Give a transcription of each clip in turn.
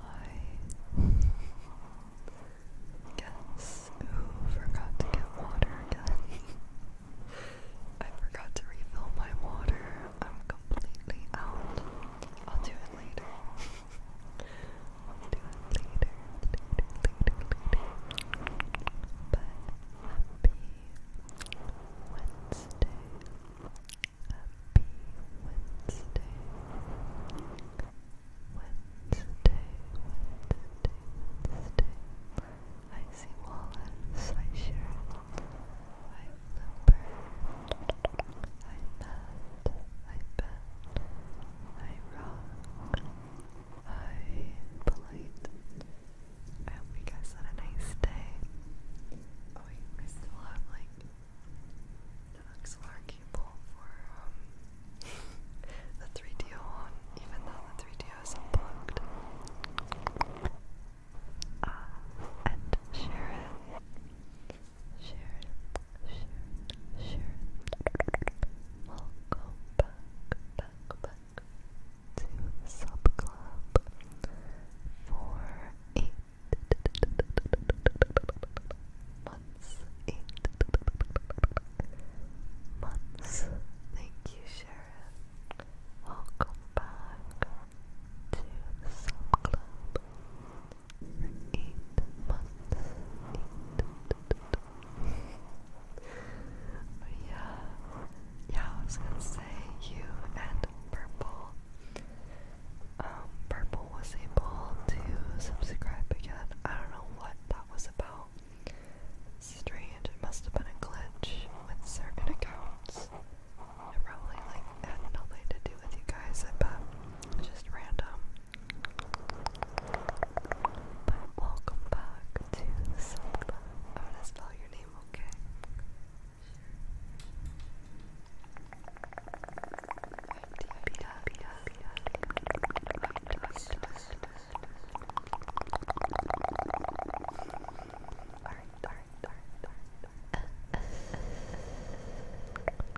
I guess who forgot to get water I forgot to refill my water. I'm completely out. I'll do it later. I'll do it later, later, later, later. happy Wednesday. Happy Wednesday. Wednesday, Wednesday, Wednesday. I see Wallace, I share I remember, I love, I bend, I rock, I polite. I hope you guys had a nice day. Oh wait, I still have like the XLR cable for um the 3DO on, even though the 3DO is unplugged. Uh, and share it. Sharon, Sharon, Sharon. We'll go back, to the sub club for eight months. Eight months. Thank you, Sharon. Welcome back to the sub club yeah, yeah, I was gonna say you and Purple. Um, Purple was able to subscribe again. I don't know what that was about. Strange. It must have been a glitch with certain accounts. It probably like had nothing to do with you guys. I just random. But welcome back to Zelda. I'm gonna spell your name, okay?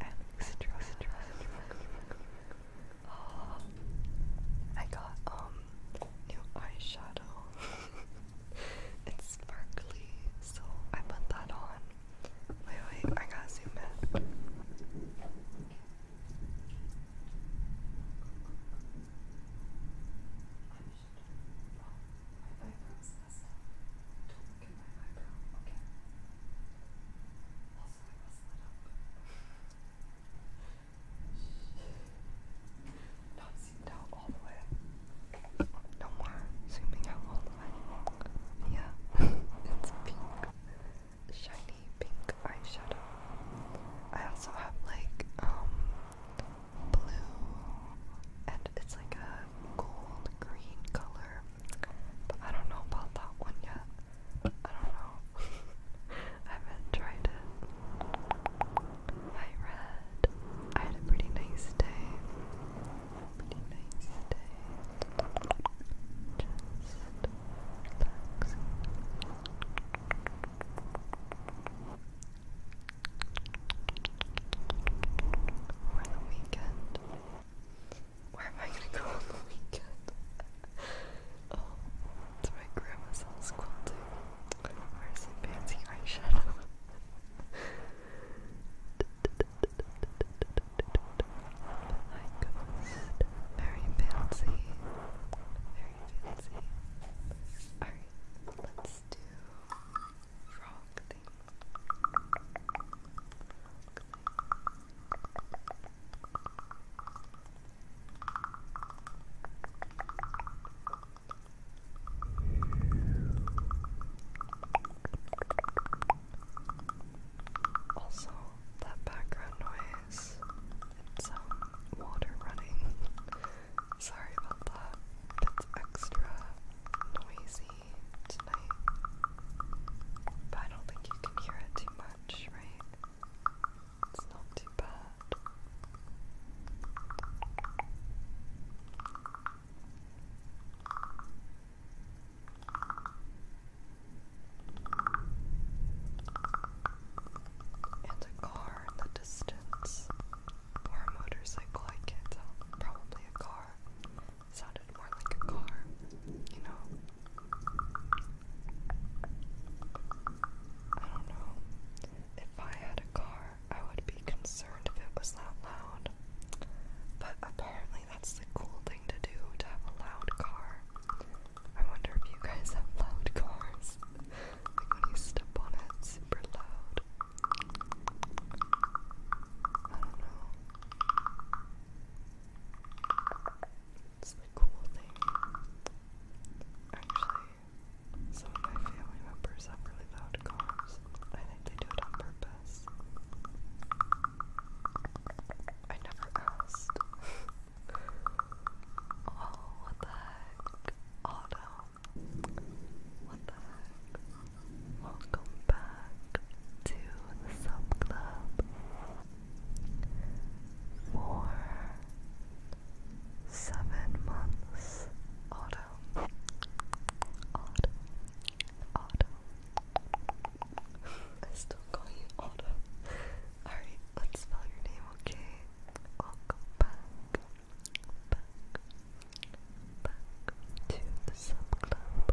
Alex Trust Trust. Oh, I got um new eyeshadow. it's sparkly, so I put that on. Wait, wait, I gotta zoom in. Okay, Also, I messed that up. Not zoomed out all the way. No more zooming out all the way. Yeah, it's pink. Shiny pink eyeshadow. I also have like, um, blue, and it's like a gold green color. But I don't know about that one yet. I don't know. I haven't tried it. I read. I had a pretty nice day. Pretty nice day. Just relaxing. For the weekend. Where am I gonna go on the weekend? oh, to my grandma's house quilting. Where's some fancy eyeshadow? Very fancy. Very fancy. Alright, let's do frog also, that background noise, it's um, water running. Sorry about that. It's extra noisy. But I don't think you can hear it too much, right? It's not too bad. And a car in the distance. Or a motorcycle, I can't tell. Probably a car sounded more like a car, you know? I don't know. If I had a car, I would be concerned if it was that loud. But apparently, that's the cool thing to do to have a loud car. I wonder if you guys have loud cars. like when you step on it, super loud. I don't know. It's the cool thing. Actually, some of my family members have really loud cars. I think they do it on purpose. I never asked. oh, what the heck? Auto. What the heck? Welcome back to the Sub Club for seven months autumn. Autumn. Autumn. I still call you Autumn. Alright, let's spell your name, okay? Welcome back. Back. Back to the sub club.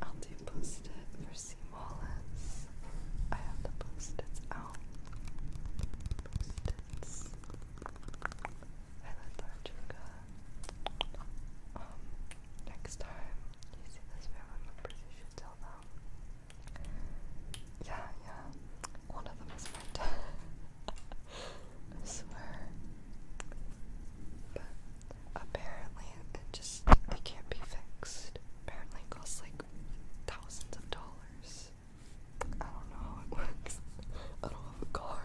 I'll do post it for C. Wallace. I have the post out. Post its. I let Larjuga next time you see this film, I'm you should tell them. Yeah, yeah, one of them is my I swear. But apparently, it just it can't be fixed. Apparently, costs like thousands of dollars. I don't know how it works. I don't have a car.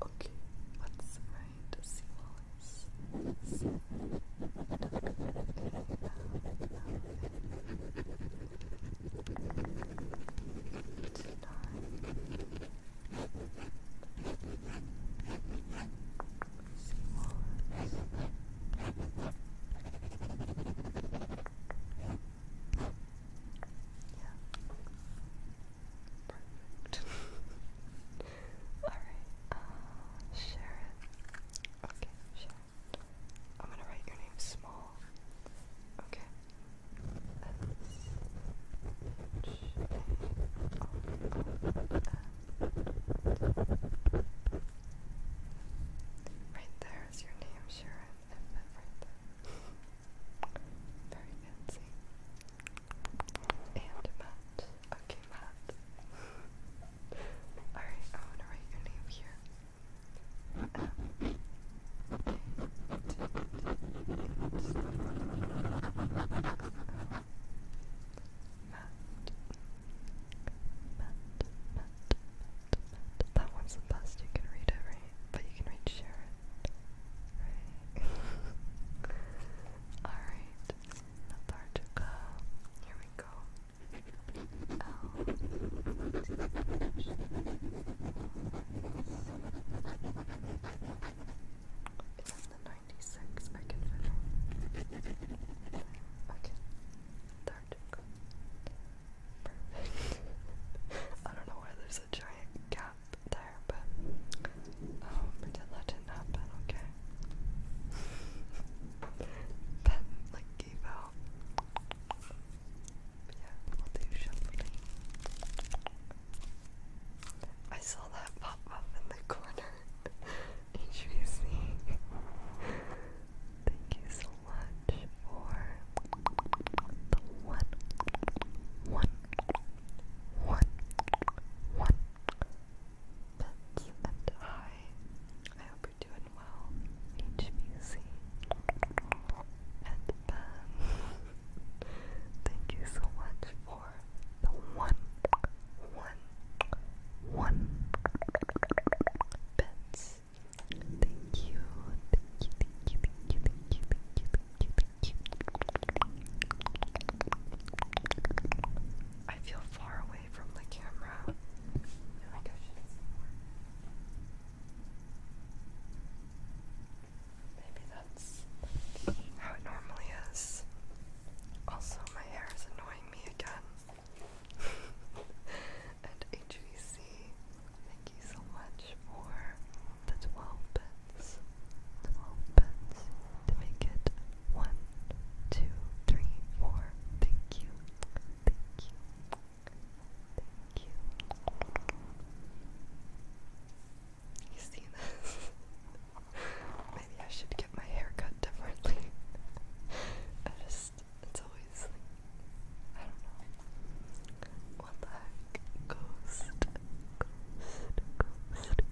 Okay, let's write seawalls. Sea yeah. Perfect. Alright, uh, Okay, share I'm gonna write your name small. Okay. Right there is your name, Sharon. Very fancy. And Matt. Okay, Matt. Alright, I want to write your name here. Matt. Matt, Matt, Matt, That one's the best. You can read it, right? But you can read Sharon. Right? Alright the Here we go. L T H Is that the ninety six I can fiddle? Okay. Particle. Perfect. I don't know why there's a giant gap but um, pretend that didn't happen, okay? Ben, like, gave out. Yeah, we'll do shuffling. I saw that pop up in the corner. HVC. Thank you so much for the one, one, one, one, pets, and I. I hope you're doing well, HBC, and Ben. Um, thank you so much for the one, one, one bits. Thank you, thank you, thank you, thank you, thank you, thank you, thank you, thank you. I feel far away from the camera. I like I Maybe that's how it normally is. Also, my hair is annoying me again. and HVC, thank you so much for the 12 small to make it one, two, three, four. Thank you. Thank you. Thank you. You see this? Maybe I should get my hair cut differently. I just, it's always I don't know. What the heck? Ghost. Ghost, ghost, ghost, ghost.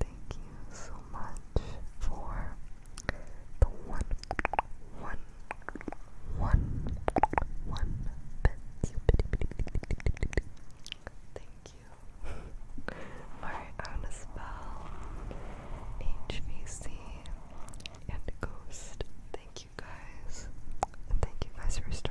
Thank you so much for the one, one, one, one bits. Thank you. Alright, I'm gonna spell HVC and Ghost. Thank you guys. thank you guys for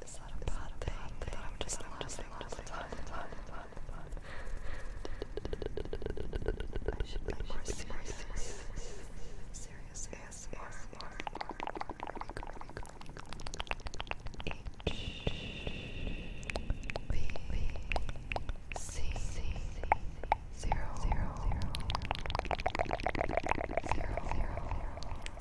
It's not a bad thing, but I'm just laughing all the time. I should be more serious. Serious ASMR. H B C zero zero zero zero zero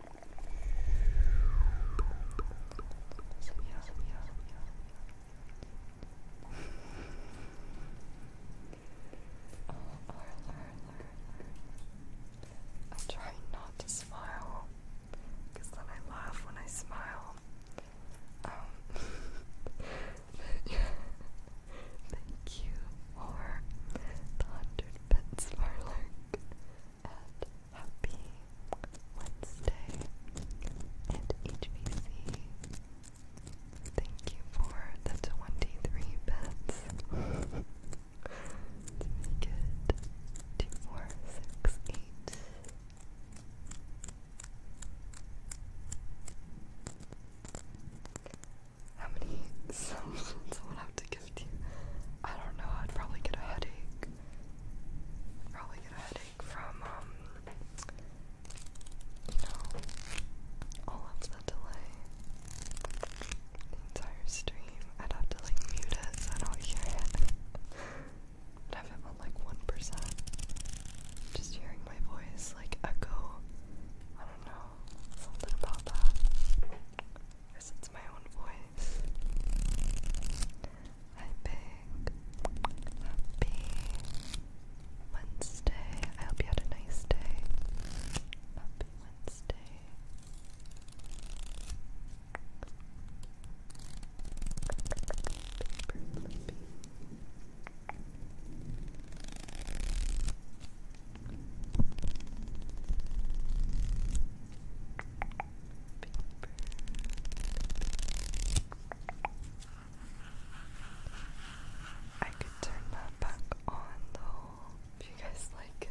I try not to smile then I laugh when I smile. Um, thank you for the 100 bits, Marlurk and happy Wednesday and HVC. Thank you for the 23 bits to make it 2468. How many submissions will I have to give to you? I don't know, I'd probably get a headache probably get a headache from, um, you know, all of the delay. The entire stream. I'd have to, like, mute it so don't hear it. have it on, like, 1%. Just hearing my voice, like, echo. I don't know. Something about that. I guess it's my own guys. I big happy Wednesday. I hope you had a nice day. Happy Wednesday. I could turn that back on though, if you guys like it.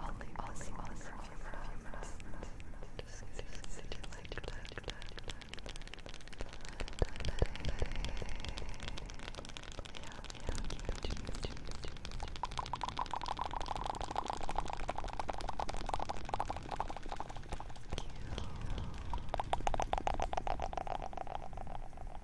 I'll leave I'll this one for a few minutes. Just sit here, let it, let it, let it, let it, let it. Yeah, yeah, keep it, keep it, keep it, keep it. Cute. Cute.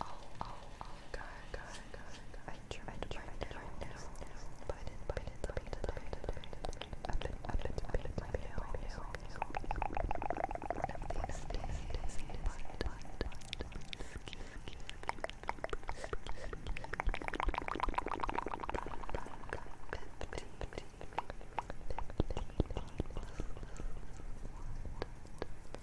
Oh, oh, oh, God, God, God, God. I tried to find it right now, but I didn't, but I didn't, but I didn't, but I didn't, but I didn't, but I didn't, but I didn't, but I didn't, but I didn't, but I didn't, but I didn't, but I didn't, but I didn't, Fifteen plus one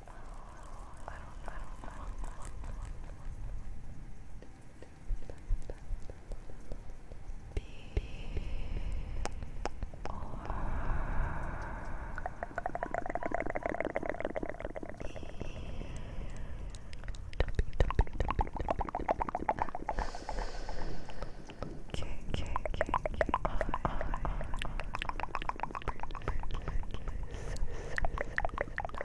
I don't, I don't, I don't, I don't. B R K K K K I I I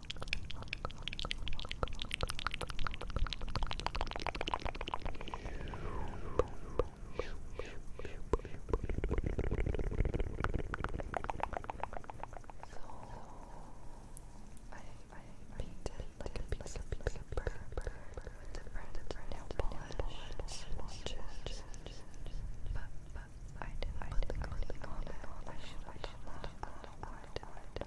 painted like a piece of paper with different nail polish swatches, but I didn't put the clothing on it. I should have done that. I don't know why I did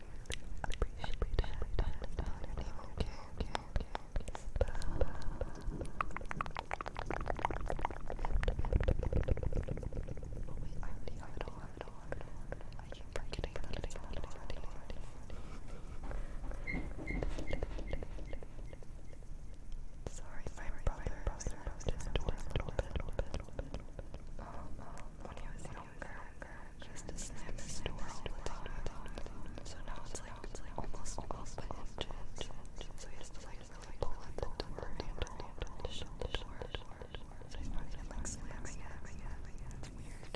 appreciate it. Okay, okay, okay. Oh it all, have it all, have it all. I keep forgetting that it's not Sorry, my brother, brother, brother, brother, brother, brother, brother, brother, brother, brother, brother, longer. Just to slam So now it's like, almost So he like really the door handle to like slamming it. weird.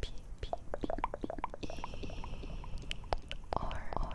P P E R R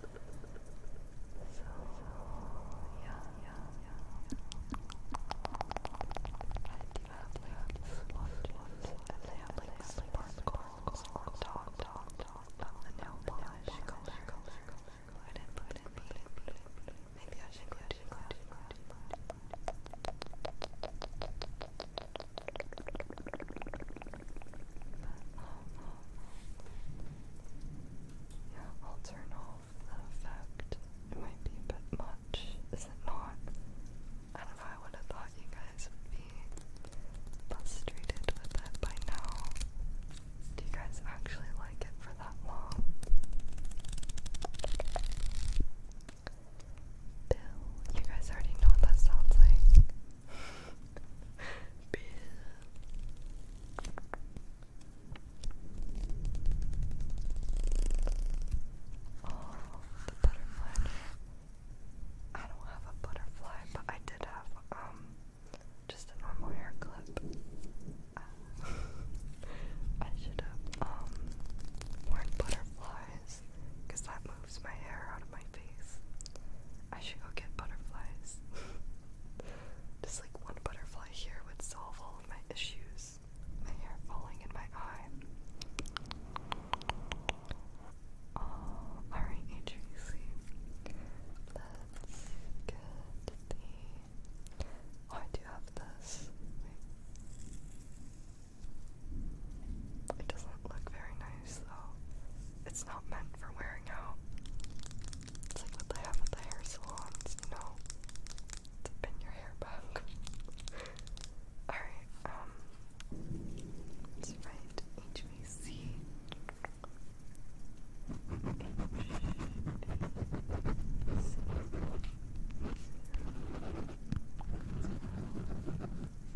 So, yeah, yeah, yeah. I do have labs, splotches, and they have like sleep particles or dog, dog, dog on the nail polish color. I didn't put it in me. Maybe I should go to that. Yeah, i effect. It might be a bit much, is it not? I don't know, I would have thought you guys would be frustrated with it by now. Do you guys actually like it for that long? Bill, you guys already know what that sounds like. Bill. Oh, butterfly. I don't have a butterfly, but I did have um just a normal hair clip. I should have um worn butterflies because that moves my hair out of my face. I should go get butterflies. Just like one butterfly here would solve all of my issues. My hair falling in my eye. Oh, alright, HVC. Let's get the. Oh, I do have this. It doesn't look very nice though. It's not meant for wearing wearing out. It's like what they have at the hair salons, you to pin your hair back. Alright, um, let's HVC.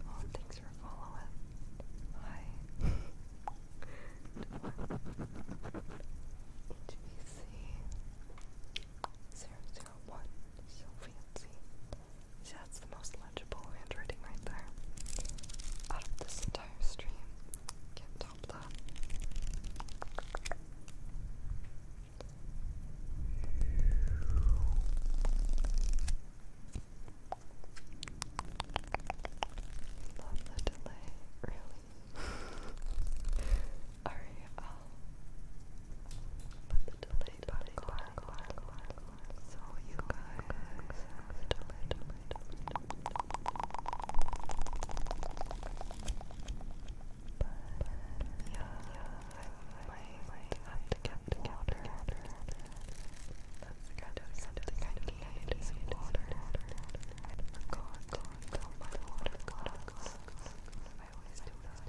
All things Thanks for Hi. HBC001. So fancy. See, that's the most legible handwriting right there. Out of this entire stream. Can't top that. Love the delay, really. Alright, I'll um, put the delay button on so you guys have the delay, delay, delay, But yeah, yeah, I might have to get water. That's kind of something I need is water. I forgot to fill my water glass. I always do that.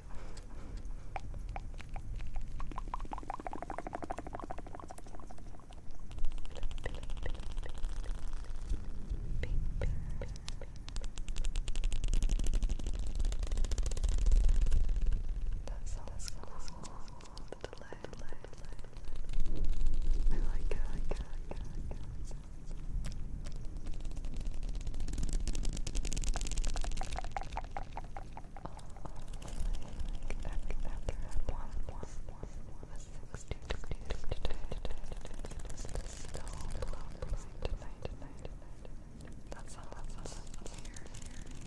That sounds cool. I like it, I like it, I like it, I like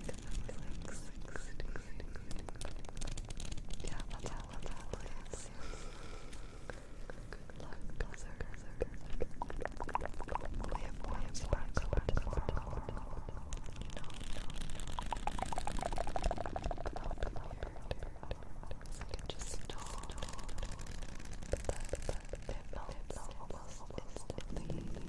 it. Yeah, that's how love lives. Good luck, brother. We have waves back up tomorrow. You know, out here, I can just know that it melts almost instantly.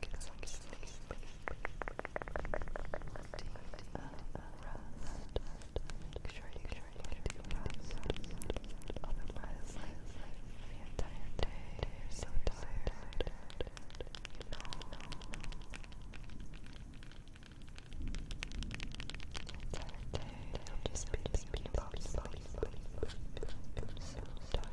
get some sleep. Deep rest. Make sure you get deep rest. Otherwise, the entire day you're so tired. The entire day you'll just be sleeping, sleeping, sleeping, sleeping, so tired.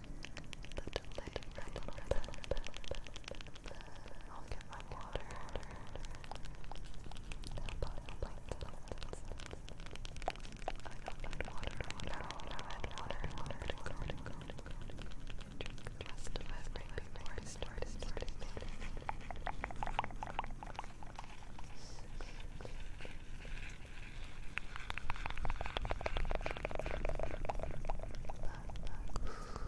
little bit, little bit, I'll get my water. I don't need water, water, water, water, water, water, water, water, Just the rest of it before I start starting Love, love.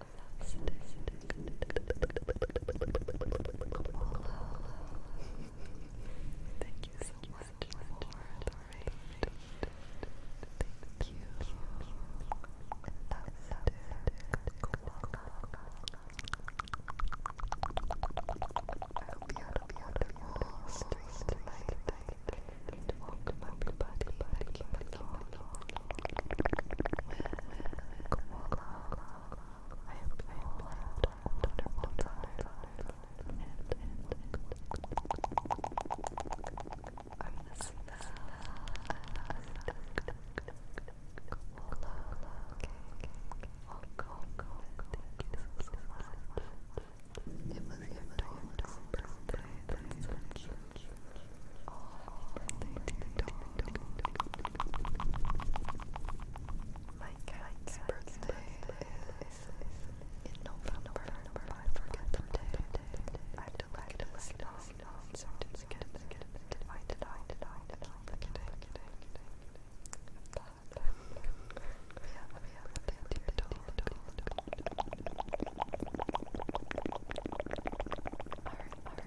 Thank you so much for the raid. Thank you. I hope you had a beautiful street tonight. And welcome everybody back in the Koala. I hope I am loved and, and, and I'm gonna smell it was your daughter's birthday, that's so cute. Oh, birthday to birthday is in November. I forget the day. I have to look at this dog certificate. I did, I did, I did, I did, I did, I did. We have a birthday to the dog. Alright, alright.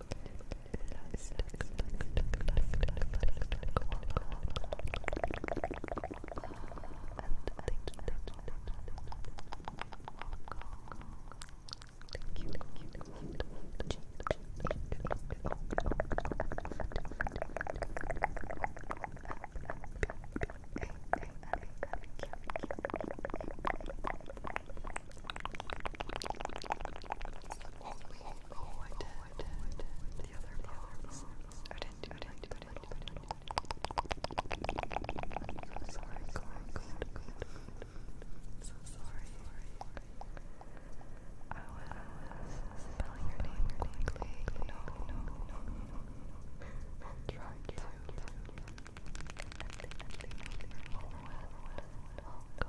Oh, I did wood, the other bones. I didn't so sorry, so sorry. I was spelling your name quickly. No, no, no, no. Try to. Go, go, go, go,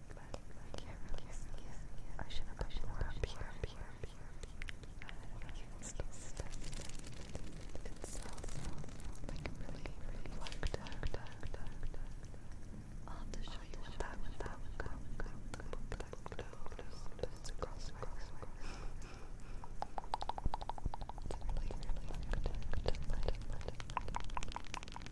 I should have pushed more up here, up here, up here, up here. It's so, like really, really dark, dark, dark, dark, dark. I'll have to show you what that, what that, what that, what that, what that, what that, what that, it's a crossway, crossway. It's really, really dark, dark, dark, dark, dark, dark.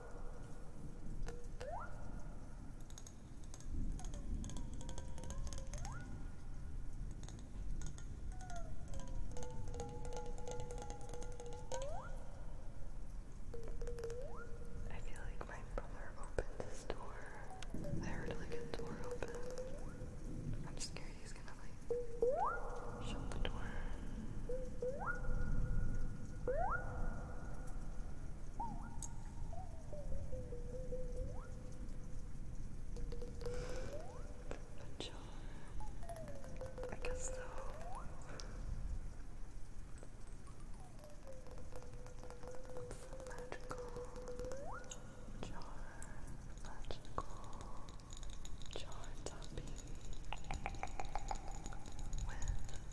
I feel like my brother opened this door. I heard like a door open. I'm scared he's gonna like shut the door. A jar. I guess so. It's magical Magical jar topping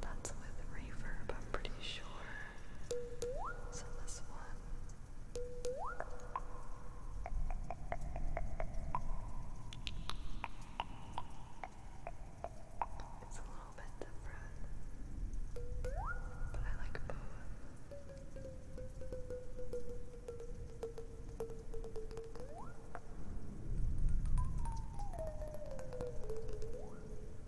That's with reverb, I'm pretty sure. So this one. It's a little bit different, but I like both.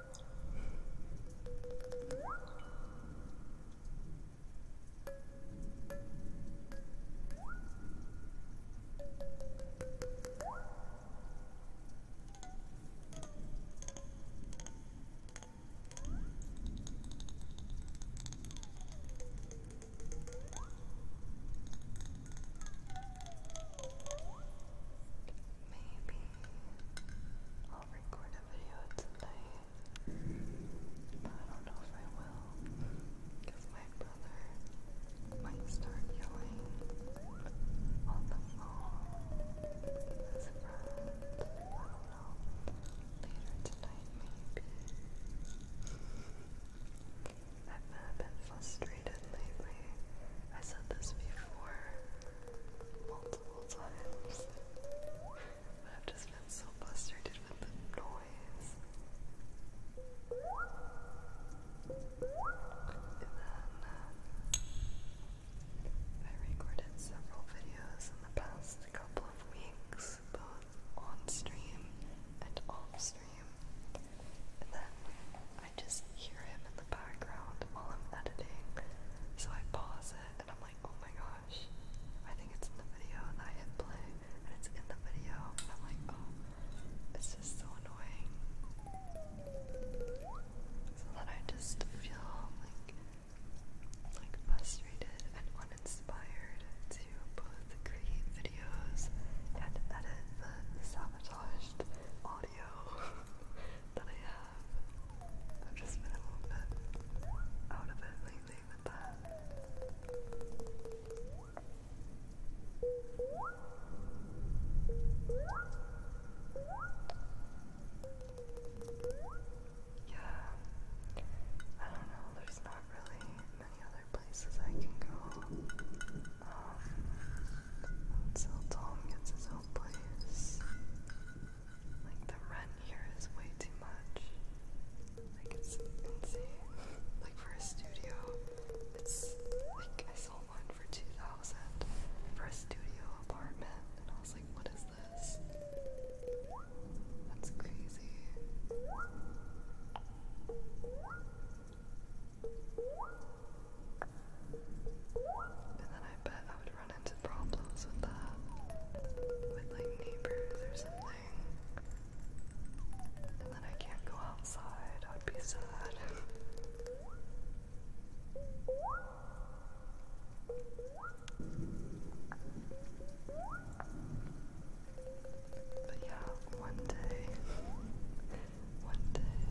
Maybe I'll record a video tonight. I don't know if I will, because my brother might start yelling on the phone with Later tonight, maybe. I've been frustrated lately. I said this before multiple times. I've just been so frustrated with the noise. And then uh, I recorded several videos in the past couple of weeks, both on stream and off stream. And then I just hear him in the background while I'm editing. So I pause it and I'm like, oh my god, I think it's in the video, and I hit play, and it's in the video, I'm like, oh, it's just so annoying. So then I just feel like, like frustrated and uninspired to both create videos and edit the sabotaged audio that I have. I've just been a little bit out of it lately with that. Yeah, I don't know, there's not really many other places I can go. Um, until Tom gets his own place. Like the run here is way too much. Like it's insane. Like for a studio, it's like I saw one for two thousand for a studio apartment, and I was like, what is this? That's crazy. And then I bet I would into problems with that. With like neighbors or something. And then I can't go outside. I would be sad. But yeah, one day, one day,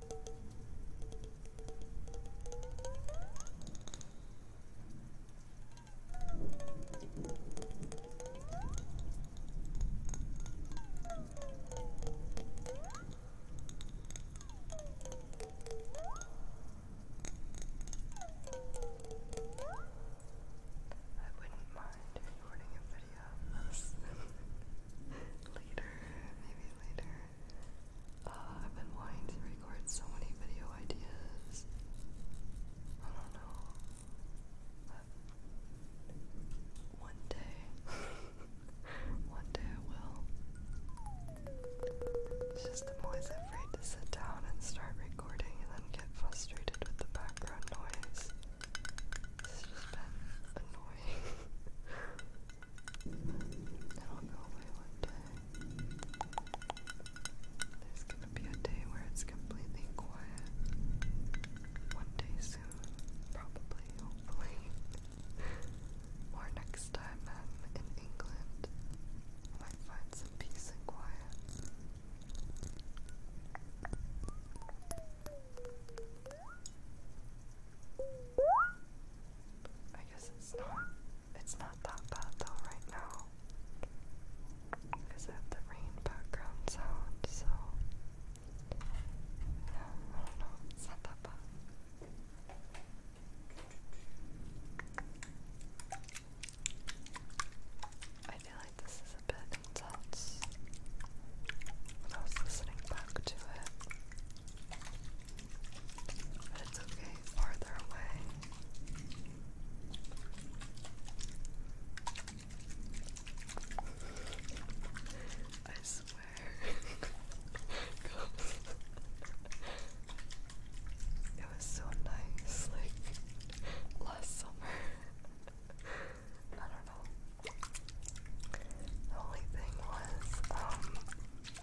I wouldn't mind recording a video later, maybe later. Uh, I've been wanting to record so many video ideas. I don't know. one day, one day I will. It's just I'm always afraid to sit down and start recording and then get frustrated with the background noise. It's just been annoying. I don't know if I There's gonna be a day where it's completely quiet. One day soon, probably, hopefully. or next time I'm in England, might find some peace and quiet. I guess it's not it's not that bad though right now. Because I the rain background sound, so yeah, I don't know, it's not that bad. I feel like this is a bit intense when I was listening back to it. But it's okay, farther away. I swear. it was so nice, like last summer. I don't know. The only thing was, um,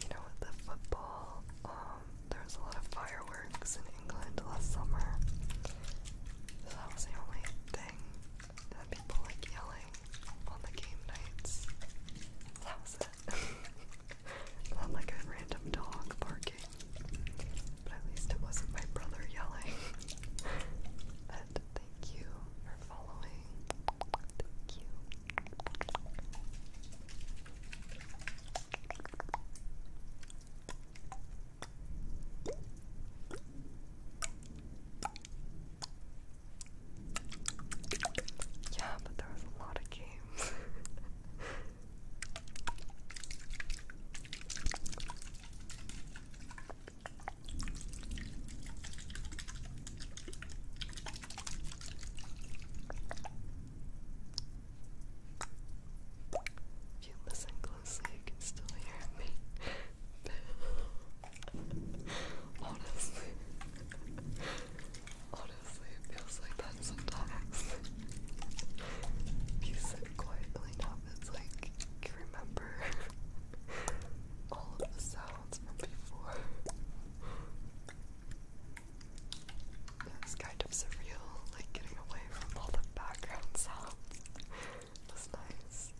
you know, with the football, um, there was a lot of fireworks in England last summer. So that was the only thing that people like yelling on the game nights. That was it. Not like a random dog barking. But at least it wasn't my brother yelling. and thank you for following. Thank you. Yeah, but there was a lot of games. If you listen closely, you can still hear me. honestly, honestly, it feels like that sometimes. if you sit quietly enough, it's like you remember all the sounds from before. It's kind of surreal, like getting away from all the background sounds. was nice.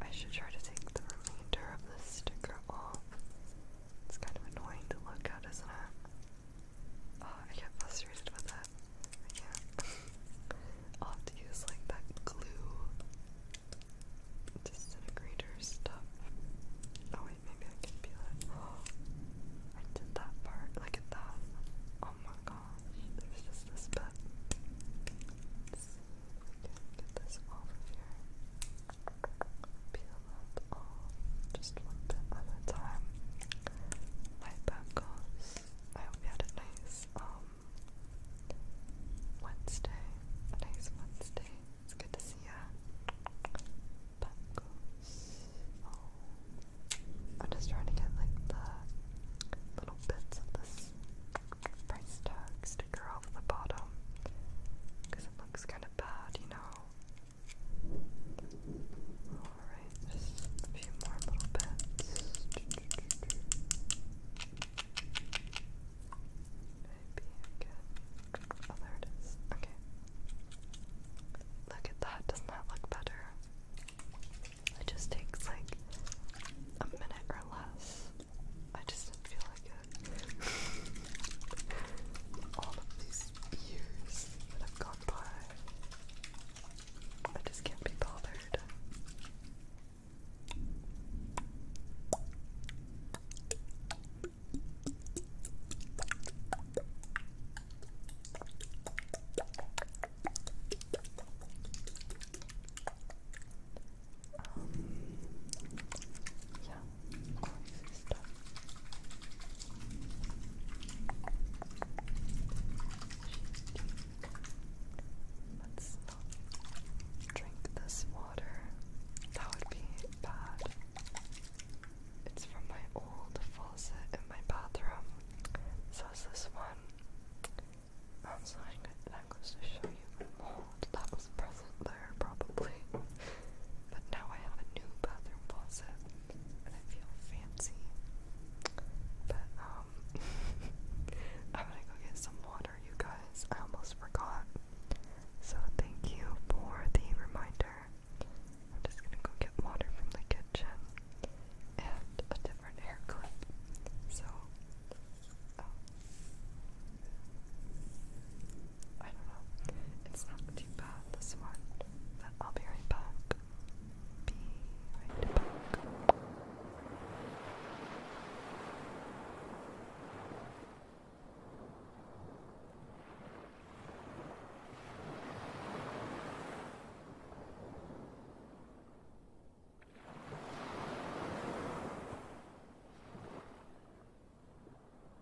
I should try to take the remainder of this sticker off it's kind of annoying to look at, isn't it? Oh, I get frustrated with that. I have to use like that glue disintegrator stuff. Oh wait, maybe I can be that. I did that part. Look at that. Oh my gosh, there's just this bit. Let's get this off of here peel that off just one bit at a time. My goes. I hope you had a nice um, Wednesday. nice Wednesday. It's good to see ya. Bangles. Oh. I'm just trying to get like the little bits of this price tag sticker off the bottom because it looks kind of bad, you know. Alright, just a few more little bits. Maybe I can. Oh, there Okay. Look at that. Doesn't that look better? It just takes like a minute or less. I just didn't feel like it. all of these years that have gone by. I just can't be bothered. Um, yeah, Let's not drink this water. That would be bad. It's from my old faucet in my bathroom. So is this one. I'm sorry, that goes to show you the that was present probably. But now I have a new bathroom closet and I feel fancy. But um I'm gonna go get some water you guys. I almost forgot. So thank you for the reminder. I'm just gonna go get water from the kitchen and a different hair clip. So um, I don't know. It's not too bad, this one. But I'll be right back. Be right back.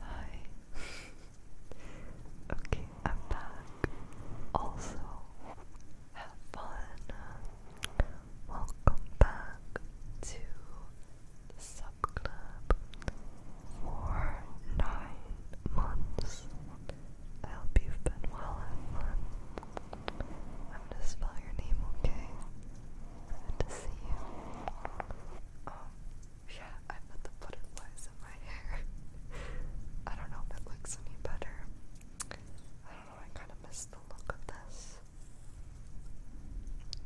Hi. okay, I'm back. Also, have fun. Welcome back to sub club for nine months. I hope you've been well I'm gonna spell your name, okay? to see you. Um, yeah, I put the in my hair. I don't know if it looks any better. I don't know, I kind of miss the look of this.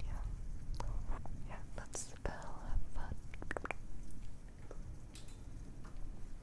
Yeah. Yeah, let's spell have fun.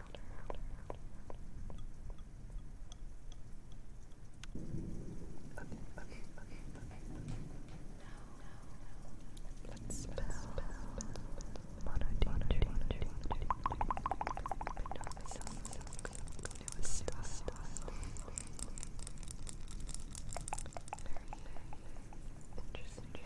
Okay, okay, okay, okay. Now, let's spell. Very interesting.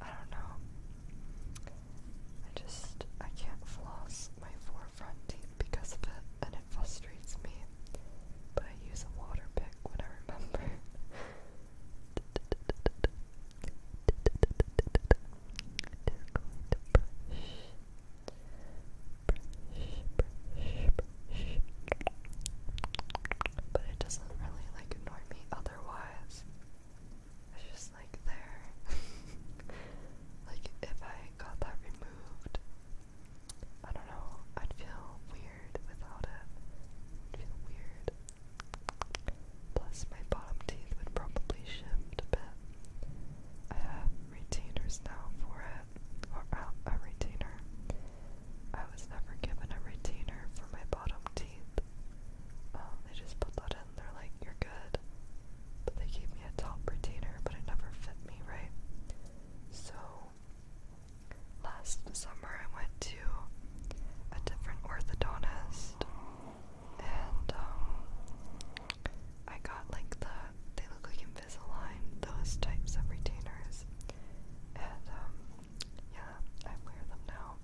I don't know. I just I can't floss my four front teeth because of it, and it frustrates me. But I use a water pick when I remember. But it doesn't really like annoy me otherwise. It's just like there. like if I got that removed, I don't know, I'd feel weird without it. feel weird. Plus, my bottom teeth would probably shift a bit. I have retainers now for it, or a, uh, a retainer, I was never given a retainer for my bottom teeth. they just put that in, they're like, you're good. But they gave me a top retainer, but it never fit me right. So, last summer I went to a different orthodontist, and um, I got like the, they look like Invisalign, those types of retainers. And um, yeah, I wear them now.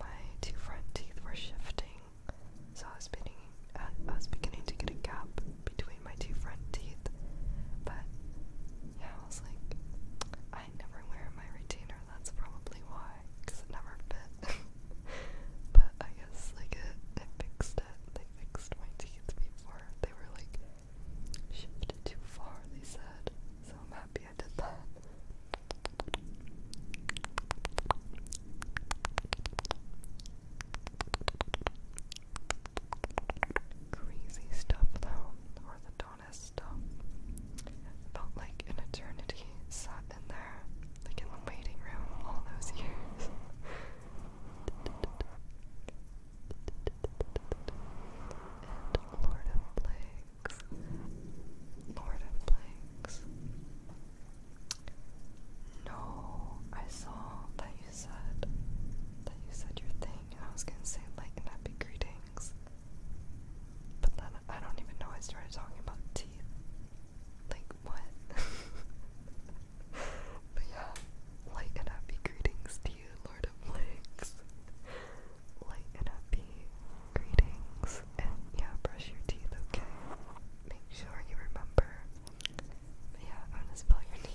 My two front teeth were shifting, so I was beginning, I was beginning to get a gap between my two front teeth. But yeah, I was like, I never wear my retainer. That's probably why, it never fit. but I guess like it fixed it. They fixed my teeth before. They were like shifted too far, they said. So I'm happy I did that. Crazy stuff though, orthodontist stuff. Felt like an eternity sat in there, like in the waiting room all those years. and Lord of Play Lord of Blanks. No, I saw that you said that you said your thing, and I was gonna say like and happy greetings, but then I don't even know I started talking about teeth. Like what? but yeah, light and happy greetings to you, Lord of Lakes. Light and happy greetings. And yeah, brush your teeth, okay? Make sure you remember. yeah, I'm gonna spell your name.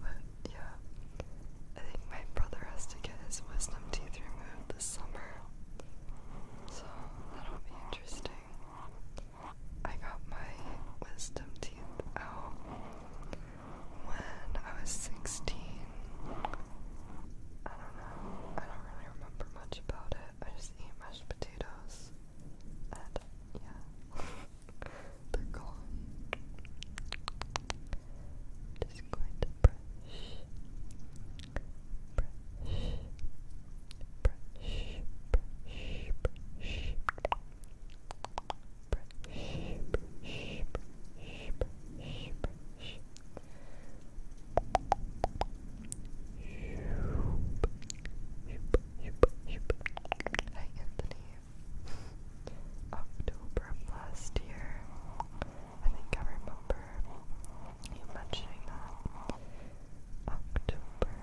But yeah, I think my brother has to get his wisdom teeth removed this summer. So that'll be interesting. I got my wisdom teeth out when I was 16. I don't know. I don't really remember much about it. I just eat mashed potatoes. And yeah. they're gone. Just going to brush, brush, brush, brush, brush, brush, brush, brush, brush, brush. Hi Anthony, October last year. I think I remember you mentioning that. October.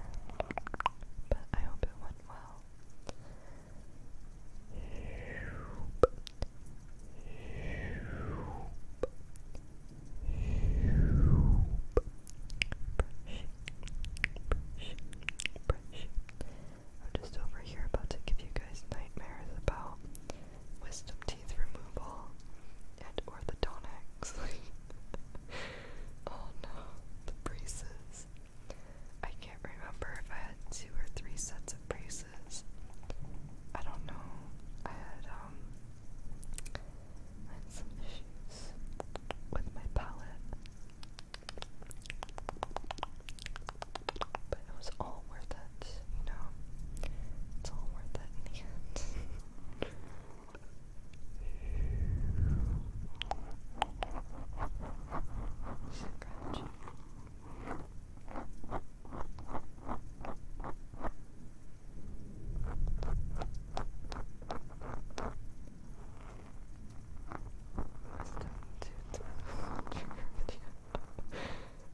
But I hope it went well. I'm just over here about to give you guys nightmares about wisdom teeth removal and orthodontics. oh no, the braces. I can't remember if I had two or three sets of braces. I don't know. I had um some issues with my palate. But it was all worth it, you know? It's all worth it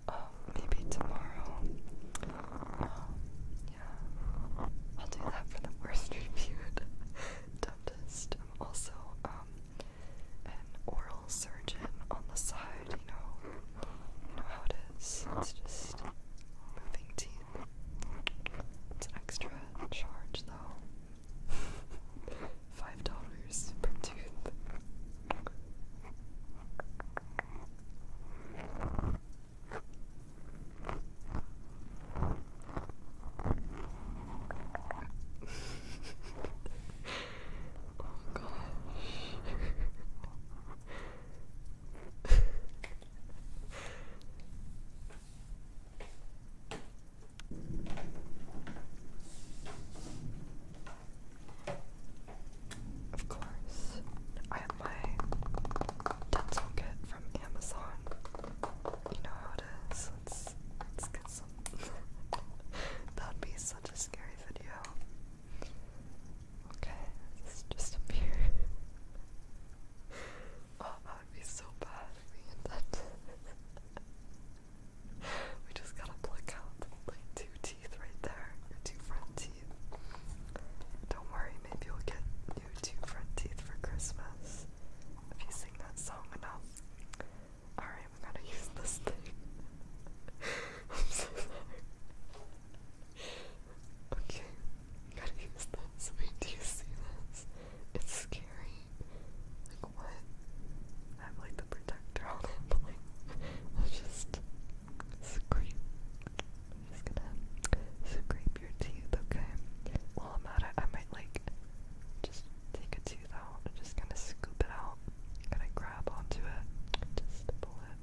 um, maybe tomorrow. Um, yeah. I'll do that for the worst reviewed dentist. I'm also um, an oral surgeon on the side, you know. You know how it is. It's just moving teeth. It's an extra charge though. Five dollars per tooth. oh gosh. Of course, I have my dental kit from Amazon. You know how it is. Let's let's get some. That'd be such a scary video. Okay, this just a mirror. oh, that would be so bad We just gotta pluck out like two teeth right there, your two front teeth. Don't worry, maybe you'll get new two front teeth for Christmas if you sing that song enough. Alright, we gotta use this thing. I'm so sorry. Okay, gotta use this. Wait, do you see this? It's scary. Like what? I have like the protector on it, but like it's just scrape. I'm just gonna scrape your teeth, okay? While I'm at it, I might like just take a tooth out and just kind of scoop it out. Kind of grab onto it, just pull it.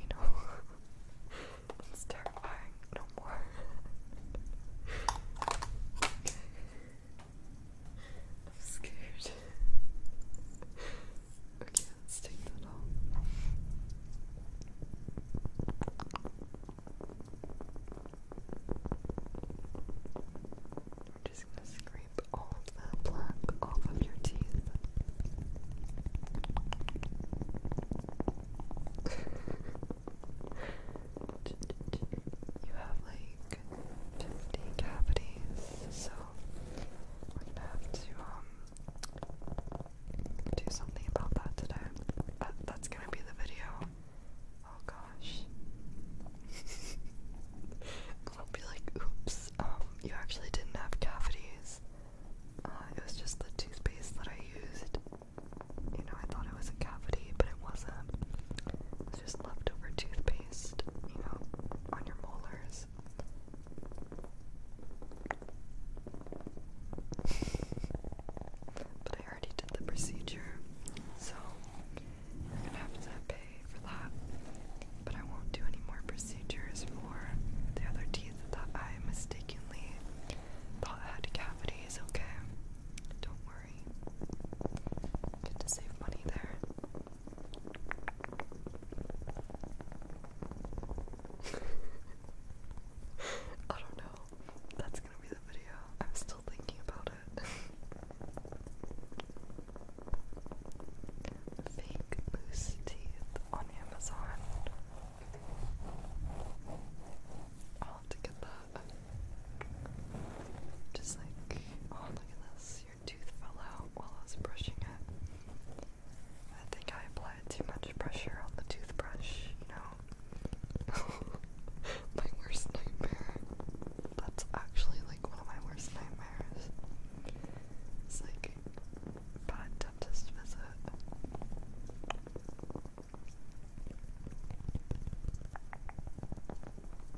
You know, it's terrifying. No more. I'm scared. okay, let's take that off. We're just gonna scrape all of that black off of your teeth. you have like 50 cavities, so we have to um do something about that today. That, uh, that's gonna be the video. Oh gosh. I'll be like, oops, um, you actually didn't have cavities. Uh, it was just the toothpaste that I used. You know, I thought it was a cavity, but it wasn't just leftover toothpaste, you know, on your molars. but I already did the procedure, so you're gonna have to pay for that. But I won't do any more procedures for the other teeth that I mistakenly thought had cavities, okay? Don't worry. Good to save money there. I don't know. That's gonna be the video. I'm still thinking about it. Fake moose teeth on Amazon. i have to get that. Just like, oh look at this, your tooth fell out while I was brushing it. I think I applied too much pressure on the toothbrush, you know? my worst nightmare. That's actually like one of my worst nightmares. It's like bad dentist visit.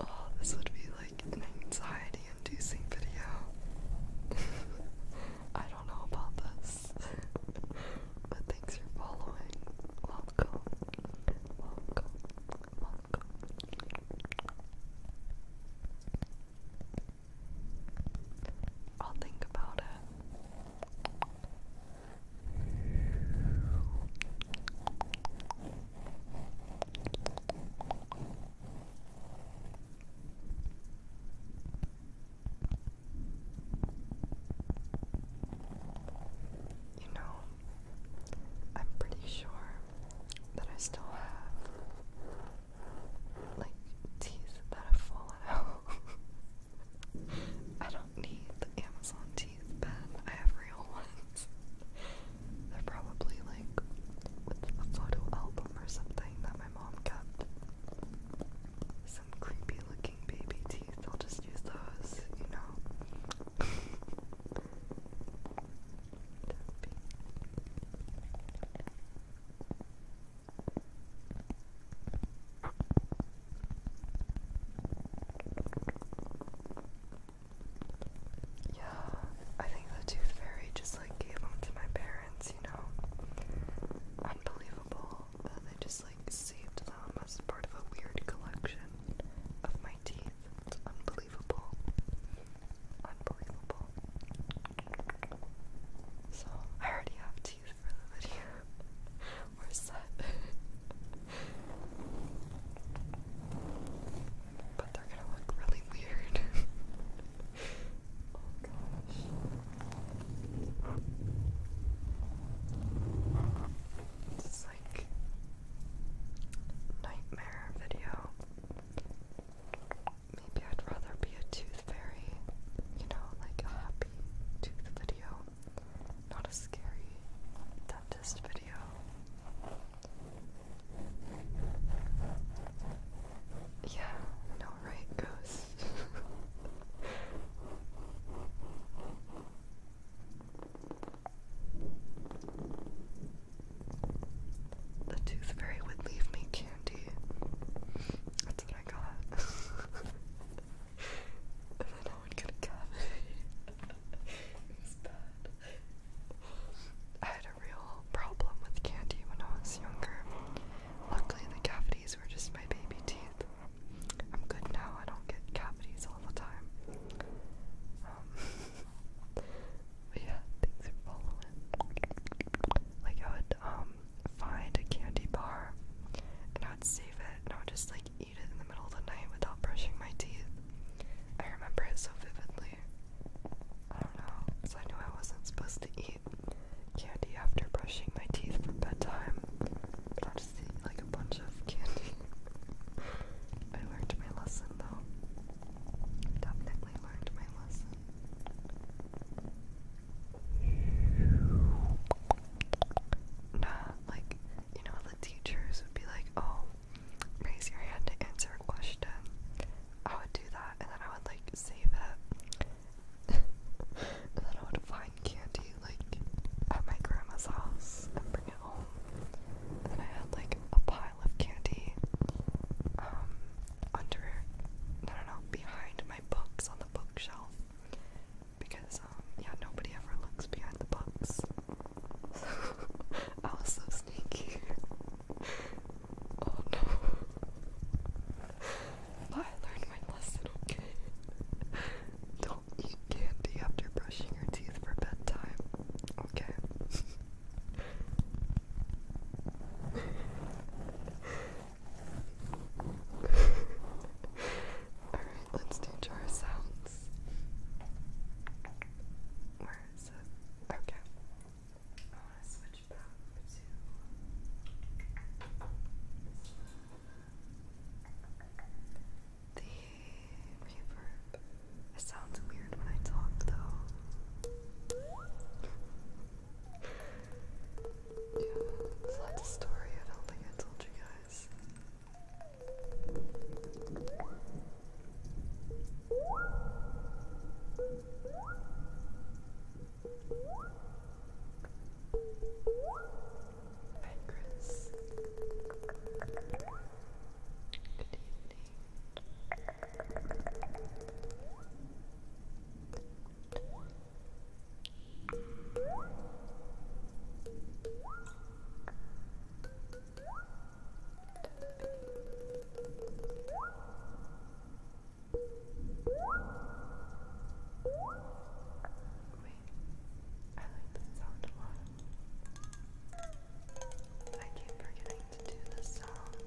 Oh, this would be like an anxiety inducing video. I don't know about this. but thanks for following. Welcome. Welcome. Welcome. I'll think about it. You know, I'm pretty sure that I still have like teeth that have fallen out. I don't need the Amazon teeth pen, I have real ones. They're probably like a photo album or something that my mom kept. Some creepy looking baby teeth. I'll just use those, you know. Yeah, I think the Tooth Fairy just like gave them to my parents, you know? Unbelievable that they just like saved them as part of a weird collection of my teeth. It's unbelievable. Unbelievable. So, I already have teeth for the video. We're set. But they're gonna look really weird. oh gosh. It's like nightmare video. Maybe I'd rather be a tooth fairy, you know, like a happy tooth video, not a scary dentist video. Yeah, no right ghost. the tooth fairy would leave me candy. That's what I got. and then I would get a cavity. I had a real problem with candy when I was younger. Luckily, the cavities were just my baby teeth. I'm good now, I don't get cavities all the time. Um, but yeah, things are following. Like, I would um, find a candy bar and I would save it and I would just like in the middle of the night without brushing my teeth. I remember it so vividly. I don't know, because I knew I wasn't supposed to eat candy after brushing my teeth for bedtime, but I'll just eat like a bunch of candy. I learned my lesson though. Definitely learned my lesson. Not like, you know, the teachers would be like, oh, raise your hand to answer a question, I would do that and then I would like save it. and then I would find candy like at my grandma's house and bring it home. And then I had like a pile of candy um under no no no behind my books on the bookshelf. Because um yeah nobody ever looks behind the books. I was so sneaky. Oh no. I learned my lesson, okay? Don't eat candy after brushing your teeth for bedtime, okay? Alright, let's do jar sounds. Okay. The reverb. It sounds weird when I talk though. yeah, story I don't think I told you guys. Hi, Chris. Good evening. I like this sound a lot. I keep forgetting to do this sound.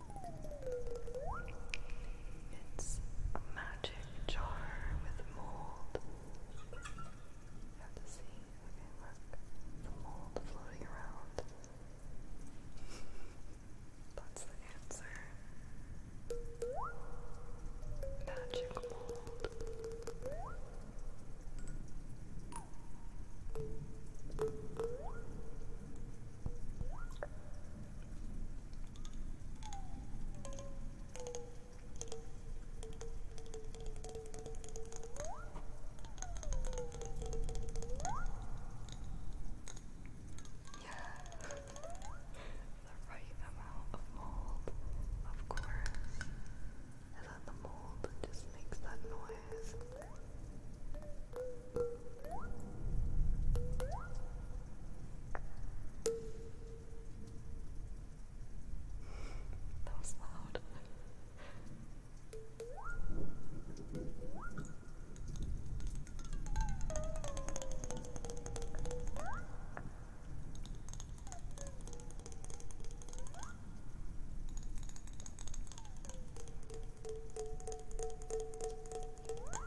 It's a magic jar with mold. have to see. Okay, look. The mold floating around. That's the answer. Magic mold. Yeah. the right amount of mold, of course. And then the mold just makes that noise. That was loud.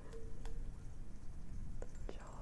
the jar.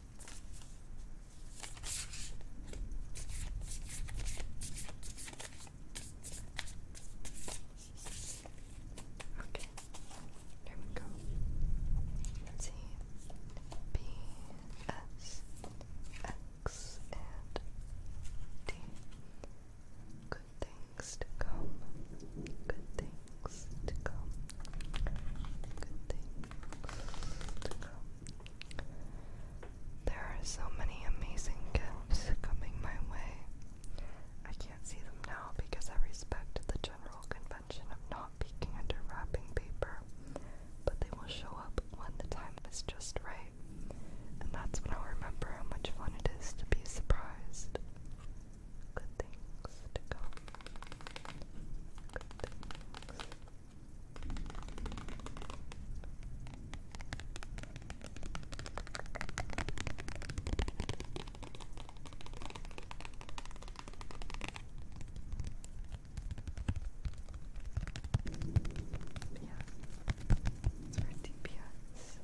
Okay, there we go. let and D. Good things to come. Good things to come. There are so many amazing gifts coming my way. I can't see them now because I respect the general convention of not peeking under wrapping paper, but they will show up when the time is just right. And that's when i remember how much fun it is to be surprised. Good things to come. Good things yeah, it's for DPS.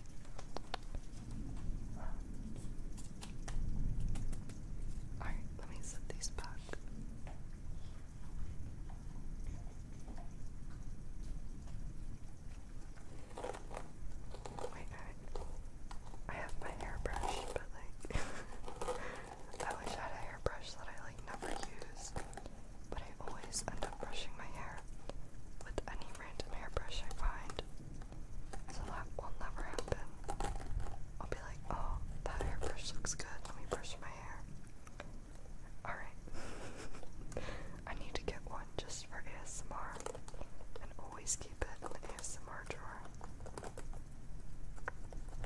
Alright, let me set these back. Wait, I, have my hairbrush, but like, I wish I had a hairbrush that I like never use, but I always end up brushing my hair with any random hairbrush I find, so that will never happen i like, oh, that hairbrush looks good. Let me brush my hair. Alright. I need to get one just for ASMR and always keep it in the ASMR drawer.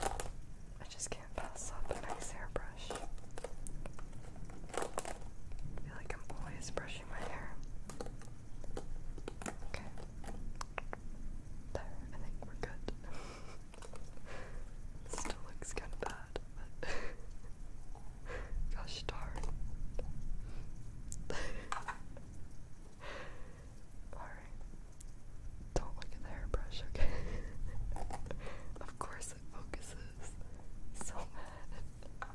I just can't pass up a nice hairbrush. feel like I'm always brushing my hair. Okay. There, I think we're good. Still looks kind of bad, but gosh darn. Alright. Don't look at the hairbrush, okay? of course it focuses. So mad. Okay.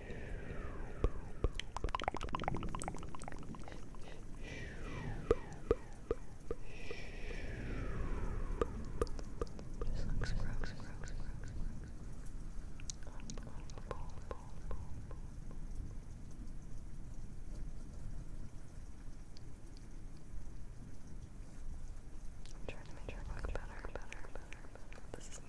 This looks gross, gross, gross. I'm trying to make it look better, better, better, better. This is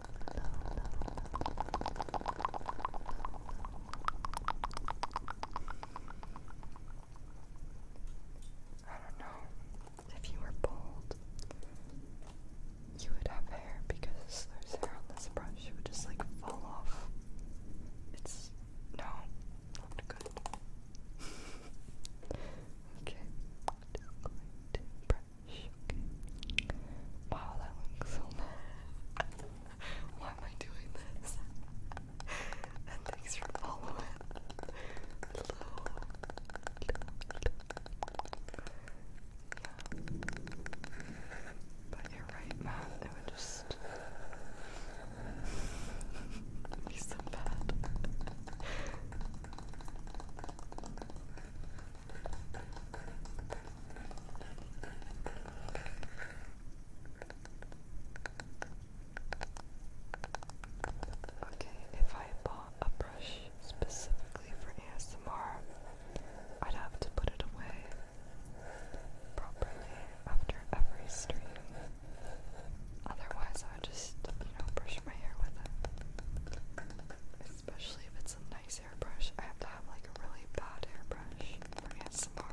I don't know. If you were bald, you would have hair because there's hair on this brush. It would just like fall off. It's no, good. okay, i going to Wow, that looks so bad. Why am I doing this? and thanks for following. Hello. Yeah. But you're right, Matt. It would just be so bad. Okay, if I bought a brush specifically for ASMR, I'd have to put it away properly after every stream. Otherwise, I just, you know, brush my hair with it especially if it's a nice airbrush. I have to have like a really bad airbrush for ASMR.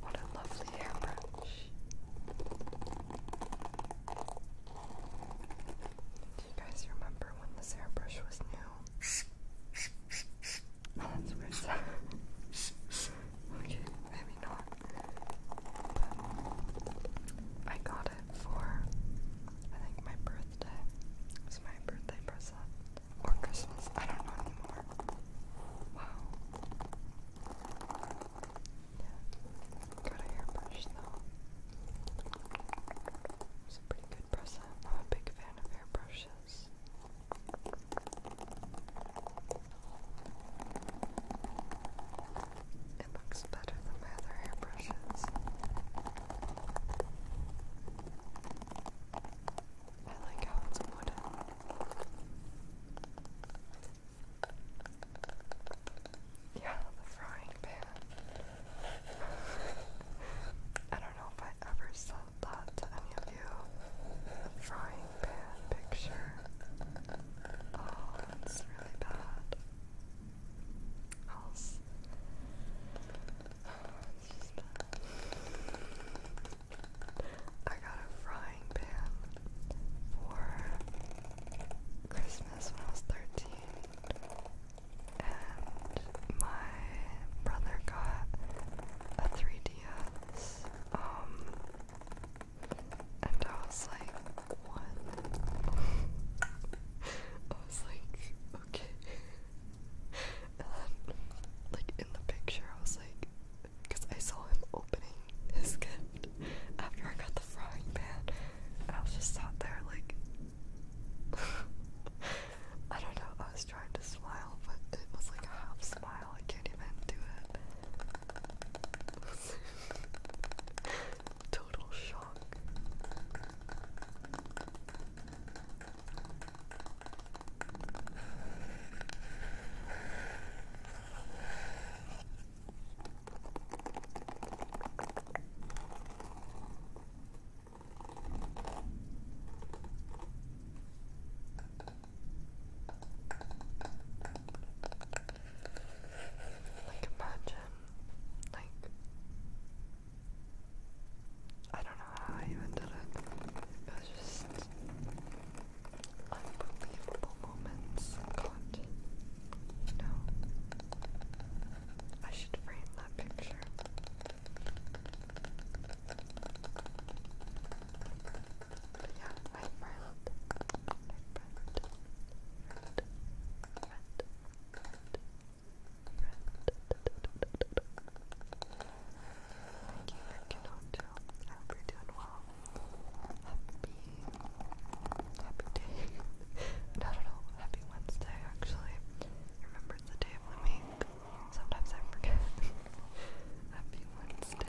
What a lovely hairbrush. Do you guys remember when this hairbrush was new? I got it for, I think, my birthday. was my birthday present. Or Christmas. I don't know anymore. Wow. Got a hairbrush, though. It good present. I'm a big fan of hairbrushes. It looks better than my other hairbrushes. I like how it's wooden. Yeah, the frying pan. I don't know if I ever saw thought to any frying pan picture. Oh, it's really bad. Else. it's just bad. I got a frying pan for Christmas when I was 13. And my brother got a 3DS um, and I was like, what? I was like, okay. And then, like, in the picture, I was like, because I saw him opening his gift after I got the frying pan, and I was just sat there, like, I don't know, was trying to smile, but it was like a half smile. I can't even do it. Total shock. Like imagine, like I don't know how I even did it. It was just unbelievable moments caught. You I should frame that picture yeah, right front, right front, front, front, front. Thank you for your hotel. I hope you're doing well. Happy, happy day. no, no, no, happy Wednesday, actually. Remember, it's the day of the week. Sometimes I forget. Happy Wednesday.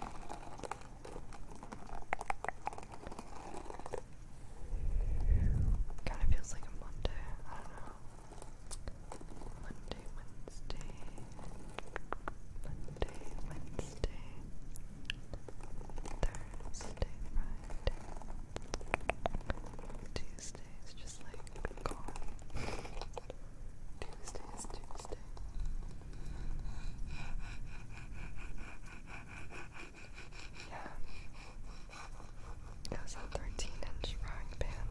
Kind of feels like a Monday. I don't know. Monday, Wednesday. Monday, Wednesday. Thursday, Friday. Tuesday is just like gone. Tuesday is Tuesday. Yeah. It was a 13 inch frying pan.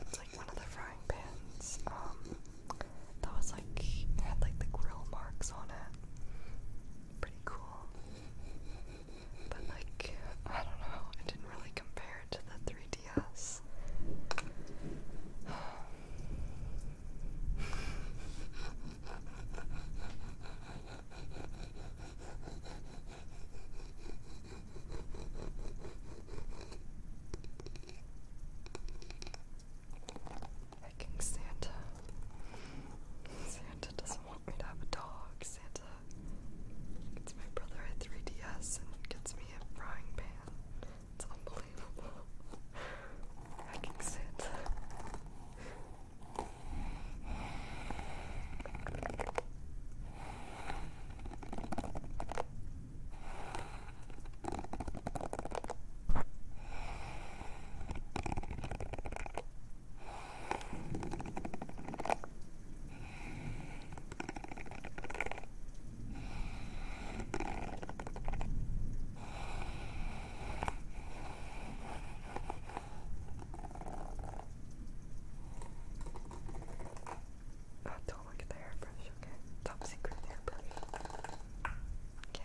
It's like one of the frying pans. Um, that was like, had like the grill marks on it. Pretty cool. But like, I don't know, it didn't really compare to the Diaz. Hiking Santa. Santa doesn't want me to have a dog. Santa gets my brother a 3DS and gets me a frying pan. It's unbelievable. I can sit. I don't look at the hairbrush, okay? Top secret hairbrush. Okay.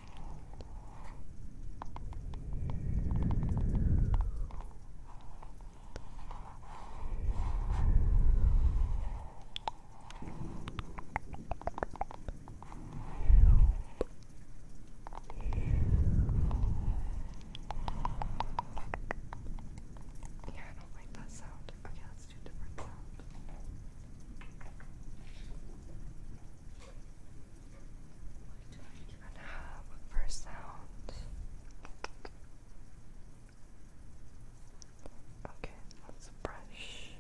Yeah, I don't like that sound. Okay, let's do a different sound do sound? Okay, let's brush.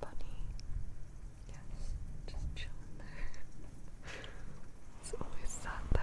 Bunny. Yes, just chilling there. it's always sat there.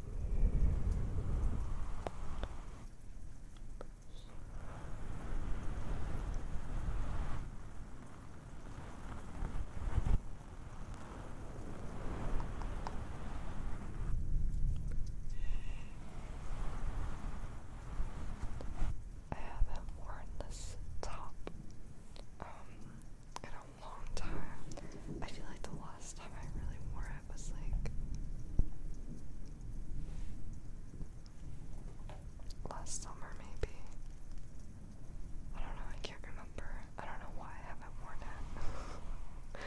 I haven't worn this top um long time. I feel like the last time I really wore it was like last summer, maybe. I don't know, I can't remember. I don't know why I haven't worn it.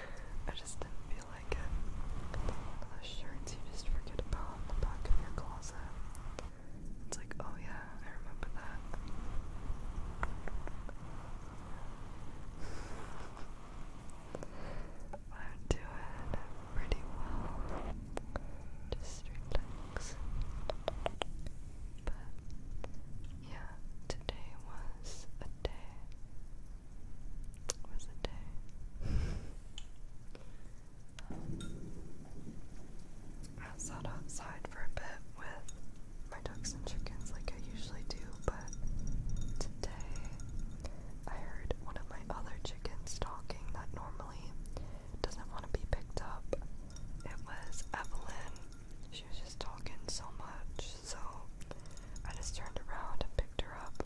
I just didn't feel like it. One of those shirts you just forget about in the back of your closet. It's like, oh yeah, I remember that. I'm doing pretty well. Just relax. But yeah, today was a day. Was a day. I sat outside for a bit with my ducks and chickens like I usually do, but today I heard one of my other chickens talking that normally doesn't want to be picked up. It was Evelyn. She was just talking so much, so I just turned around and picked her up.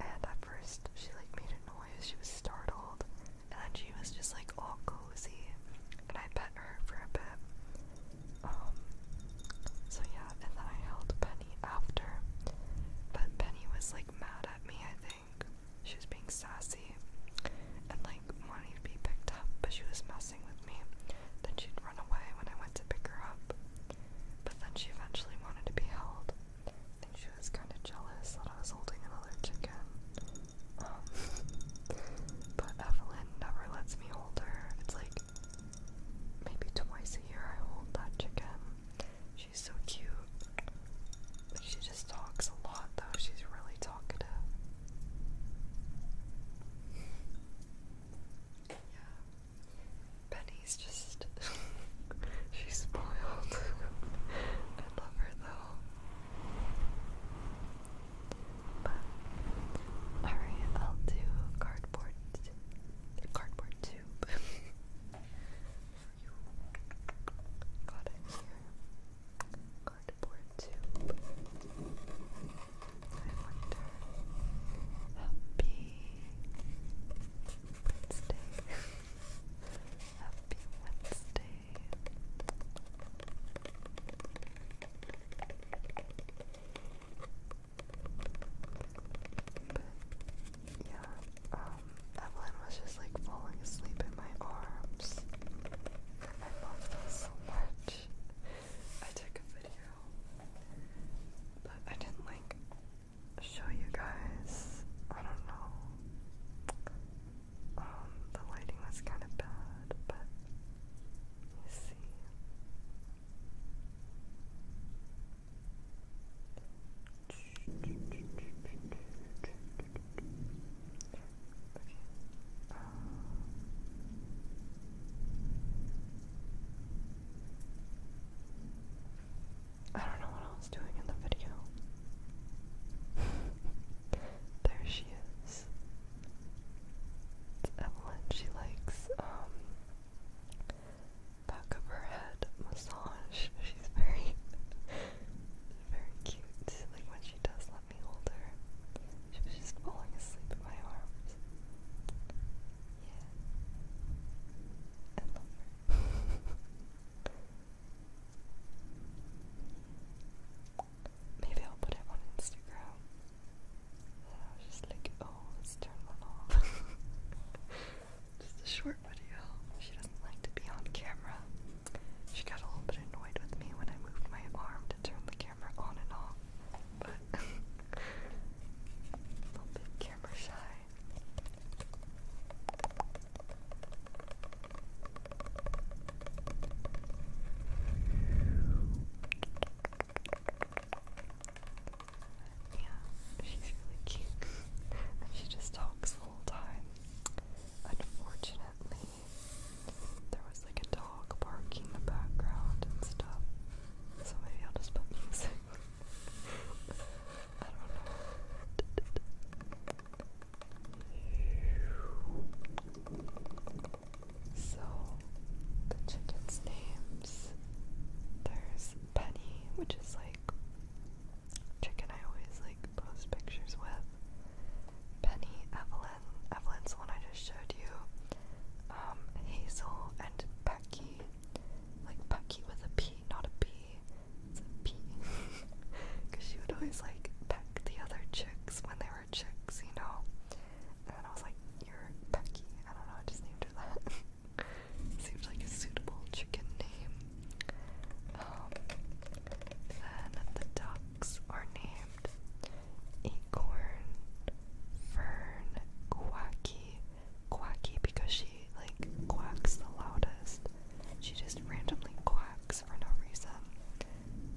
And at first, she like made a noise. She was startled, and then she was just like all cozy. And I pet her for a bit, um, so yeah, and then I held Penny after, but Penny was like mad at me, I think. She was being sassy and like wanting to be picked up, but she was messing with me. Then she'd run away when I went to pick her up, but then she eventually wanted to be held. I think she was kind of jealous that I was holding another chicken. Um, but Evelyn never lets me hold her. It's like maybe twice a year I hold that chicken. She's so cute. But she just talks a lot though. She's really talkative. Yeah. Penny's just she's spoiled. I love her though. But alright, I'll do cardboard cardboard tube Got it here. Cardboard tube. I wonder happy Wednesday. happy Wednesday yeah, um, Evelyn was just like falling asleep in my arms. I loved it so much. I took a video, but I didn't like show you guys. I don't know. Um, the lighting was kind of bad, but you see. I don't know what I was doing in the video. there she is. It's Evelyn. She likes um back of her head massage. She's very, very cute. Like when she does let me hold her, she was just falling asleep in my arms. Yeah, I love her. Maybe I'll put it on Instagram just like, oh, let's turn one off. just a short video. She doesn't like to be on camera. She got a little bit annoyed with me when I moved my arm to turn the camera on and off. But a little bit camera shy. Yeah, she's really cute. and she just talks the time. Unfortunately, there was like a dog barking in the background and stuff. So maybe I'll just put music. I don't know. So the chickens' names there's Penny, which is like chicken I always like post pictures with. Penny, Evelyn, Evelyn's one I just showed you. Um, Hazel and Becky. Like Becky with a P, not a B. It's a P. Cause she would always like peck the other chicks when they were chicks, you know. And I was like, You're Becky. I don't know, I just named her that. Seems like a suitable chicken name. Um, then the ducks are named Acorn, Fern, Quacky. Quacky because she like quacks the loudest. She just randomly quacks for no reason.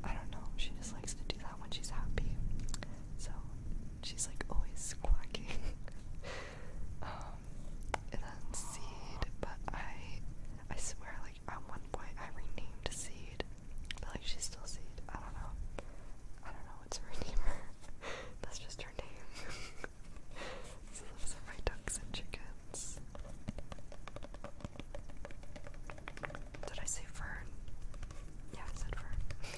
I don't know, she just likes to do that when she's happy. So she's like always squawking. um, and then Seed, but I, I swear, like at one point I renamed Seed, but like she's still Seed. I don't know. I don't know what's her name. That's just her name. so those are my ducks and chickens. Did I say fern? Yeah, I said fern.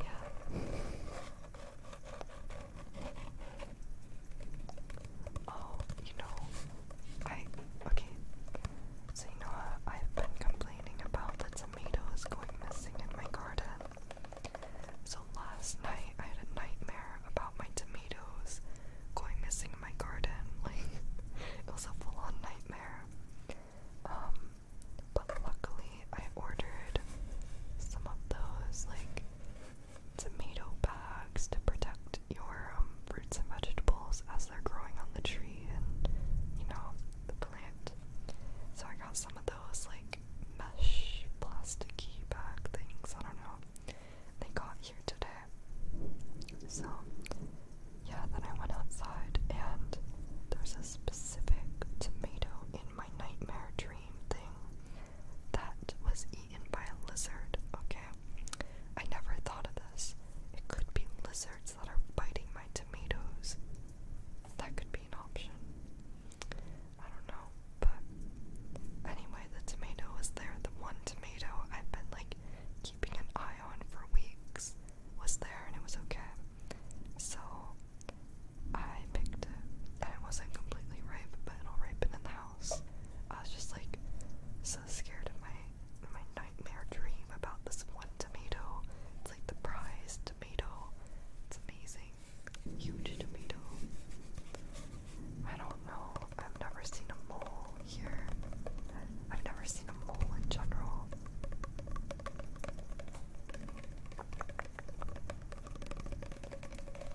Yeah. Oh, you know, I okay. So you know, I've been complaining about the tomatoes going missing in my garden. So last night I had a nightmare about my tomatoes going missing in my garden. Like it was a full-on nightmare. Um, but luckily I ordered some of those like tomato bags to protect your um, fruits and vegetables as they're growing on the tree and you know the plant. So I got some of those like mesh plasticky bag things. I don't know. They got here today. So yeah, then I went outside and there's a specific tomato in my nightmare dream thing that was eaten by a lizard, okay? I never thought of this. It could be lizards that are biting my tomatoes. That could be option. I don't know, but anyway, the tomato was there. The one tomato I've been like keeping an eye on for weeks was there and it was okay. So I picked it and it wasn't completely ripe, but it'll ripen in the house. I was just like so scared of my my nightmare dream about this one tomato. It's like the prize tomato. It's amazing. Huge tomato. I don't know. I've never seen a mole here. I've never seen a mole in general.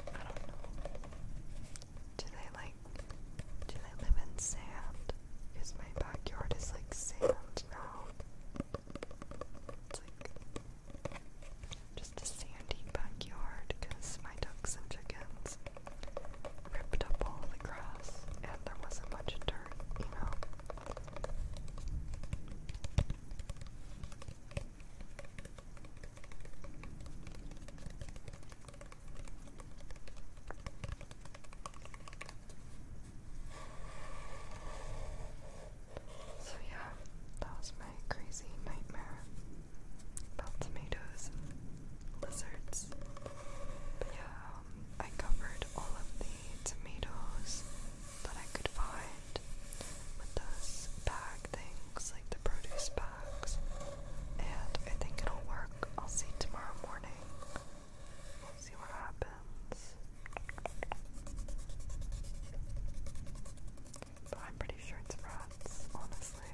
I don't know. Do they like do they live in sand? Because my backyard is like sand now. It's like just a sandy backyard because my ducks and chickens ripped up all the grass and there wasn't much dirt, you know. So, yeah, that was my crazy nightmare about tomatoes and lizards. But yeah, um, I covered all of the tomatoes that I could find with those bag things, like the produce bags. And I think it'll work. I'll see tomorrow morning. see what happens. But I'm pretty sure it's rats, honestly.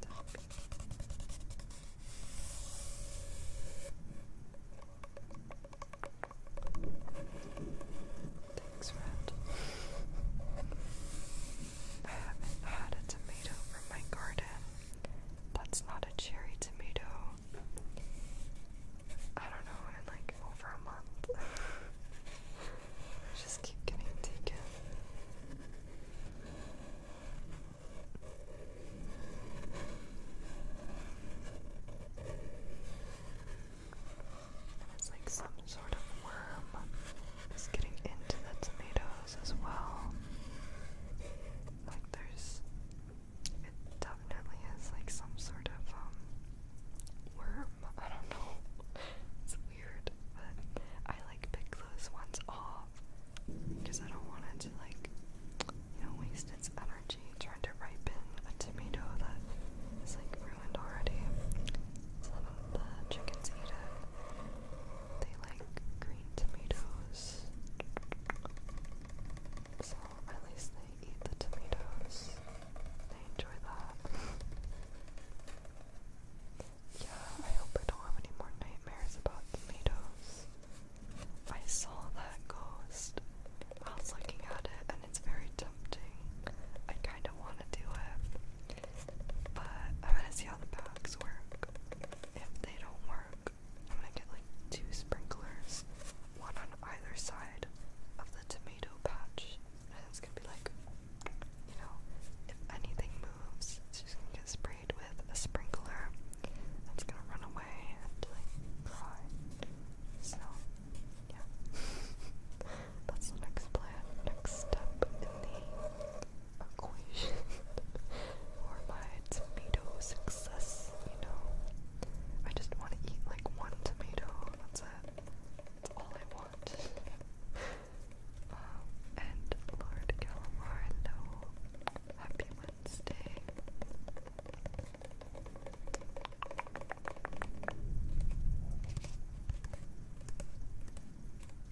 Stop. Thanks, I haven't had a tomato from my garden that's not a cherry tomato. I don't know, in like over a month. just keep getting taken. It's like some sort of worm is getting into the tomatoes as well. Like there's, it definitely is like some sort of um, worm. I don't know. It's weird, but I like pick those ones off because I don't want it to like you know waste its energy trying to ripen a tomato that is like ruined already they like green tomatoes. So at least they eat the tomatoes. They enjoy that. yeah, I hope I don't have any more nightmares about tomatoes. I saw that ghost. I was looking at it and it's very tempting. I kind of want to do it. But I'm gonna see how the bags work if they don't work, I'm gonna get like two sprinklers, one on either side of the tomato patch, and it's gonna be like, you know, if anything moves, it's just gonna get sprayed with a sprinkler. It's gonna run away and like cry. So, yeah, that's the next plan, next step in the equation for my tomato success, you know. I just want to eat like one tomato, that's all I want. Um, and Lord Calamaro, happy Wednesday.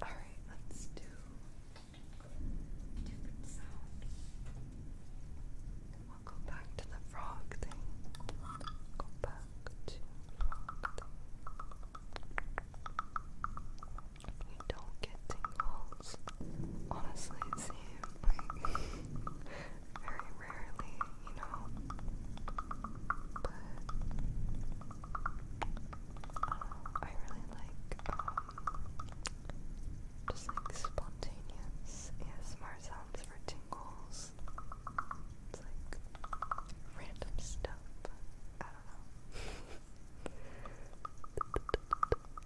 All right, let's do different sound. we back to the frog thing. Go back to frog thing. You don't get tingles honestly see like very rarely, you know. But um, I really like um, just like spontaneous ASMR sounds for tingles. It's like random stuff. I don't know.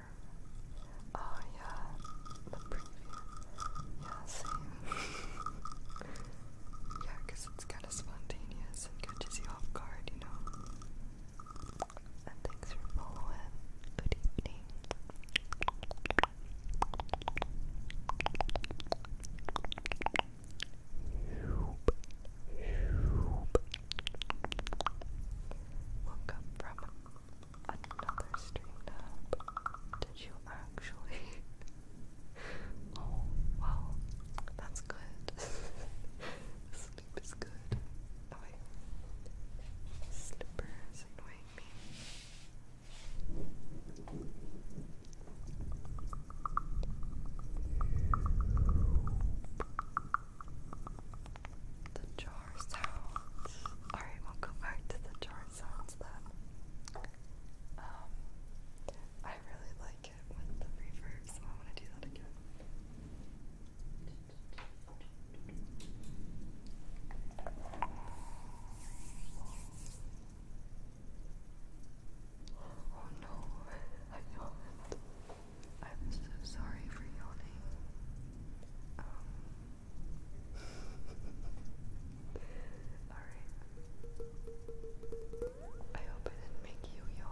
trigger. Oh yeah, the preview. Yeah, same. yeah, it's kind of spontaneous and catches you off guard, you know? And thanks for following. Good evening. Woke up from another stream Did you actually? oh, wow. That's good. Sleep is good. Oh, wait. annoying me. The jar Alright, we'll go back to the jar sounds then. Um, I really like it with the reverb, so I'm to do that again. Oh no, I yawned. I'm so sorry for yawning. Um, Alright. I hope I didn't make you yawn.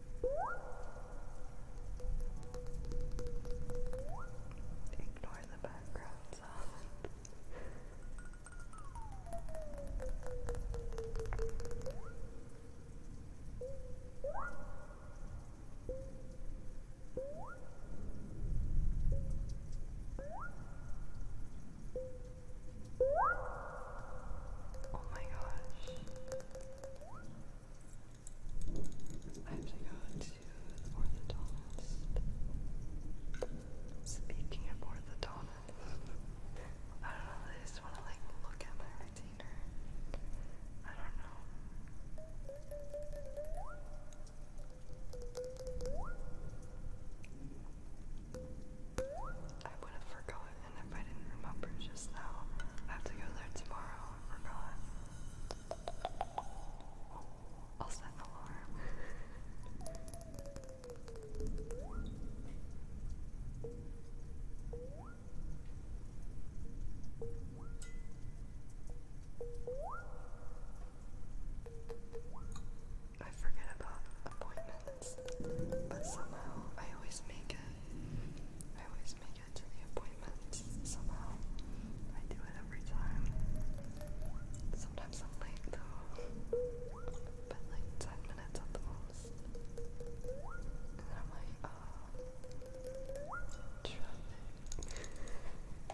Ignore the background sound. Oh my gosh. I have to go to the orthodontist. Speaking of orthodontist, I don't know, they just want to like look at my retainer. I don't know. I would have forgotten if I didn't remember just now. I have to go there tomorrow. I will set an alarm. I forget about appointments, but somehow I always make it. always make get to the appointments somehow. I do it every time. Sometimes I'm late though. But like 10 minutes at the most. And then I'm like, uh,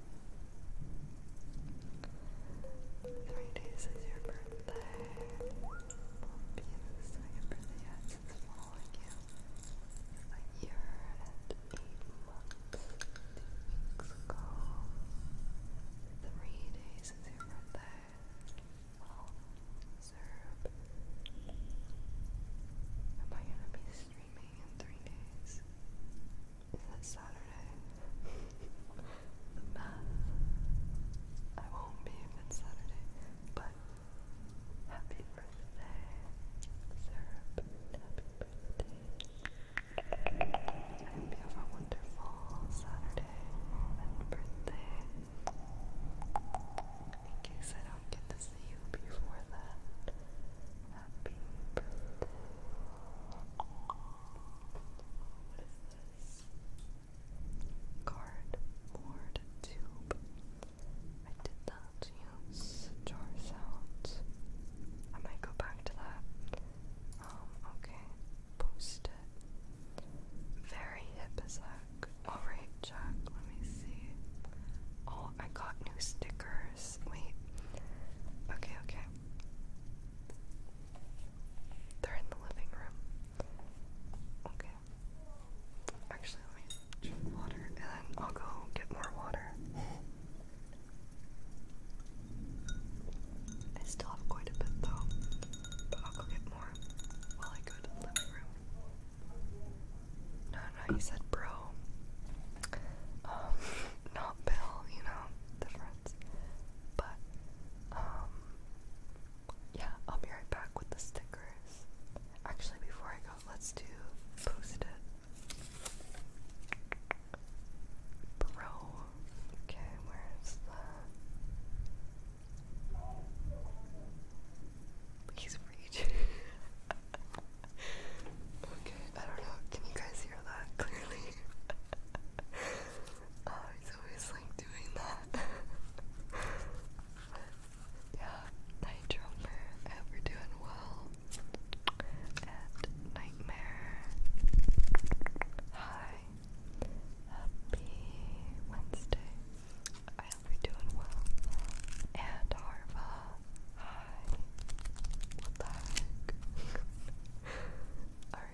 Three days is your birthday. Won't be the second birthday yet since following you. A year and eight months, two weeks ago. Three days is your birthday. Well, serve. Am I gonna be streaming in three days? Is Saturday? the math. I won't be if Saturday, but happy birthday, syrup. Happy birthday. have a wonderful Saturday and birthday. In case I don't get to see you before that, Happy What is this? Cardboard tube. I did not use jar sounds. I might go back to that. Um, okay. Post it. Very hip as Alright, Jack, let me see. Oh, I got new stickers. Wait. Okay, okay. They're in the living room. Okay. Actually, let me drink water and I'll go get more water. I still have quite a bit though, but I'll go get more while I go to the living room. No, no, you said bro. Um, not Bill, you know, different. But, um, yeah, I'll be right back with the stickers. Actually, before I go, let's do post it. Bro. Okay, where is the. He's reaching. okay, I don't know. Can you guys hear that clearly? I was oh, always like doing that. yeah, Night Jumper, hope doing well. And Nightmare, hi, happy Wednesday. I hope doing well. And Harva, hi. What the Alright,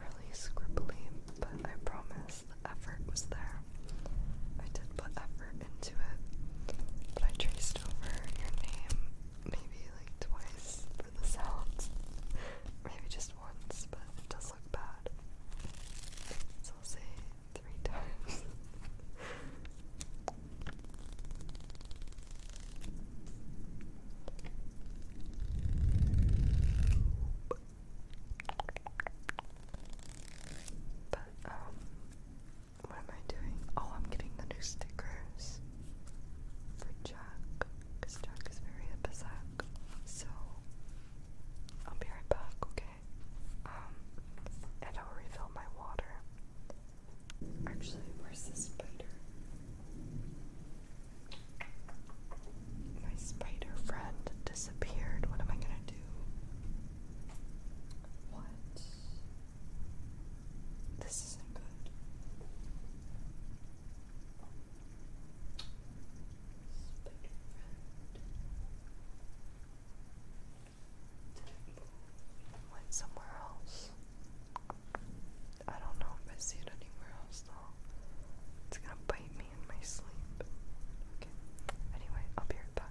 really scribbly, but I promise the effort was there. I did put effort into it, but I traced over your name maybe like twice for the sounds. maybe just once, but it does look bad. So I'll say three times. But, um, what am I doing? Oh, I'm getting the new stickers for Jack, because Jack is very episac. So, I'll be right back, okay? Um, and I'll refill my water. Actually, where's the spider? my spider friend disappeared. What am I gonna do? What? This isn't good. Spider friend. Went somewhere else. I don't know if I see it anywhere else though. It's gonna bite me in my sleep. Okay. Anyway, I'll be right back.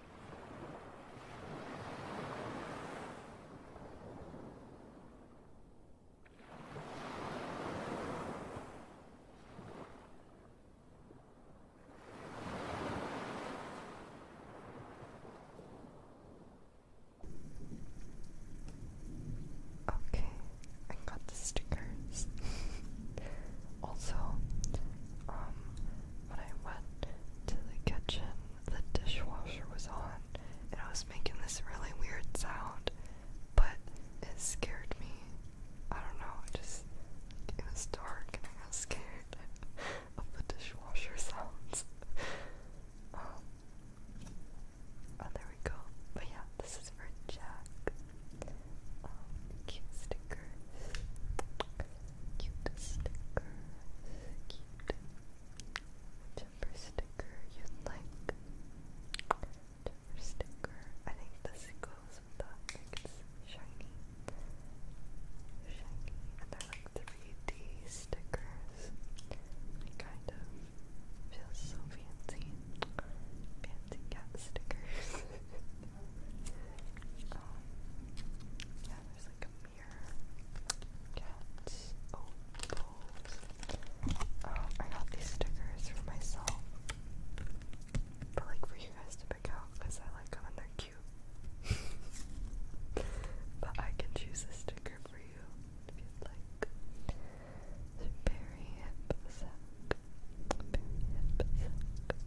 Okay, I got the stickers. also, um, when I went to the kitchen, the dishwasher was on and I was making this really weird sound, but it scared me. I don't know, it just it was dark and I got scared of the dishwasher sounds. Um, oh, there we go. But yeah, this is for Jack. Um, cute sticker cute sticker, cute, whichever sticker you like, whichever sticker, I think this goes with like it's shiny, shiny, and I like 3D stickers, they kind of feel so fancy, fancy cat stickers. Um, there's like a mirror. Cats. Oh, oh, I got these stickers for myself. But like for you guys to pick out because I like them and they're cute. but I can choose a sticker for you if you'd like. So hip sack. hip sack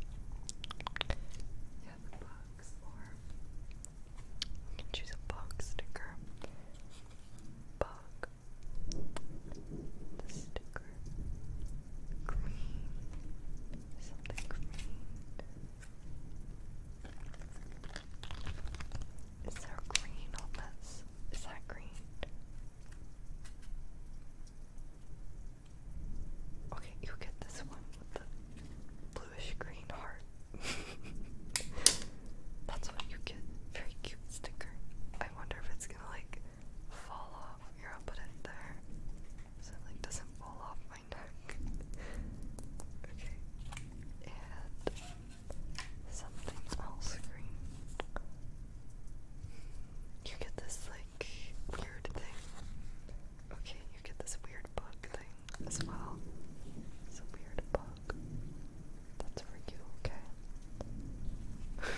choose a box sticker. Bug sticker. Green. Something green. Is there green on this? Is that green? Okay, you get this one with the bluish green heart. That's what you get. Very cute sticker. I wonder if it's gonna like fall off. Here, I'll put it there. So it like doesn't fall off my neck. okay. And something else green. You get this like weird thing. Okay, you get this weird bug thing as well. It's a weird bug. That's for you, okay?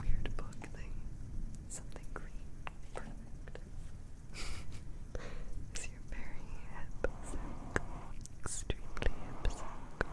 weird bug thing. Something green. Perfect. Is your very hip Extremely hip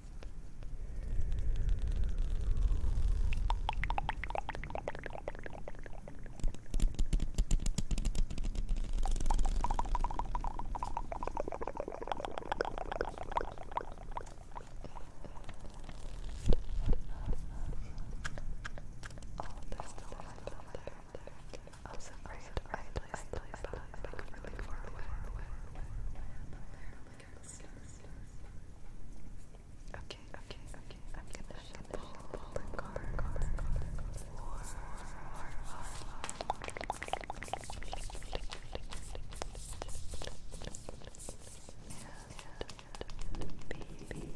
Oh, there's no one there. I'm oh, so afraid I placed the like really Okay, okay, okay. I'm gonna shut the ball and car, did make the pink thing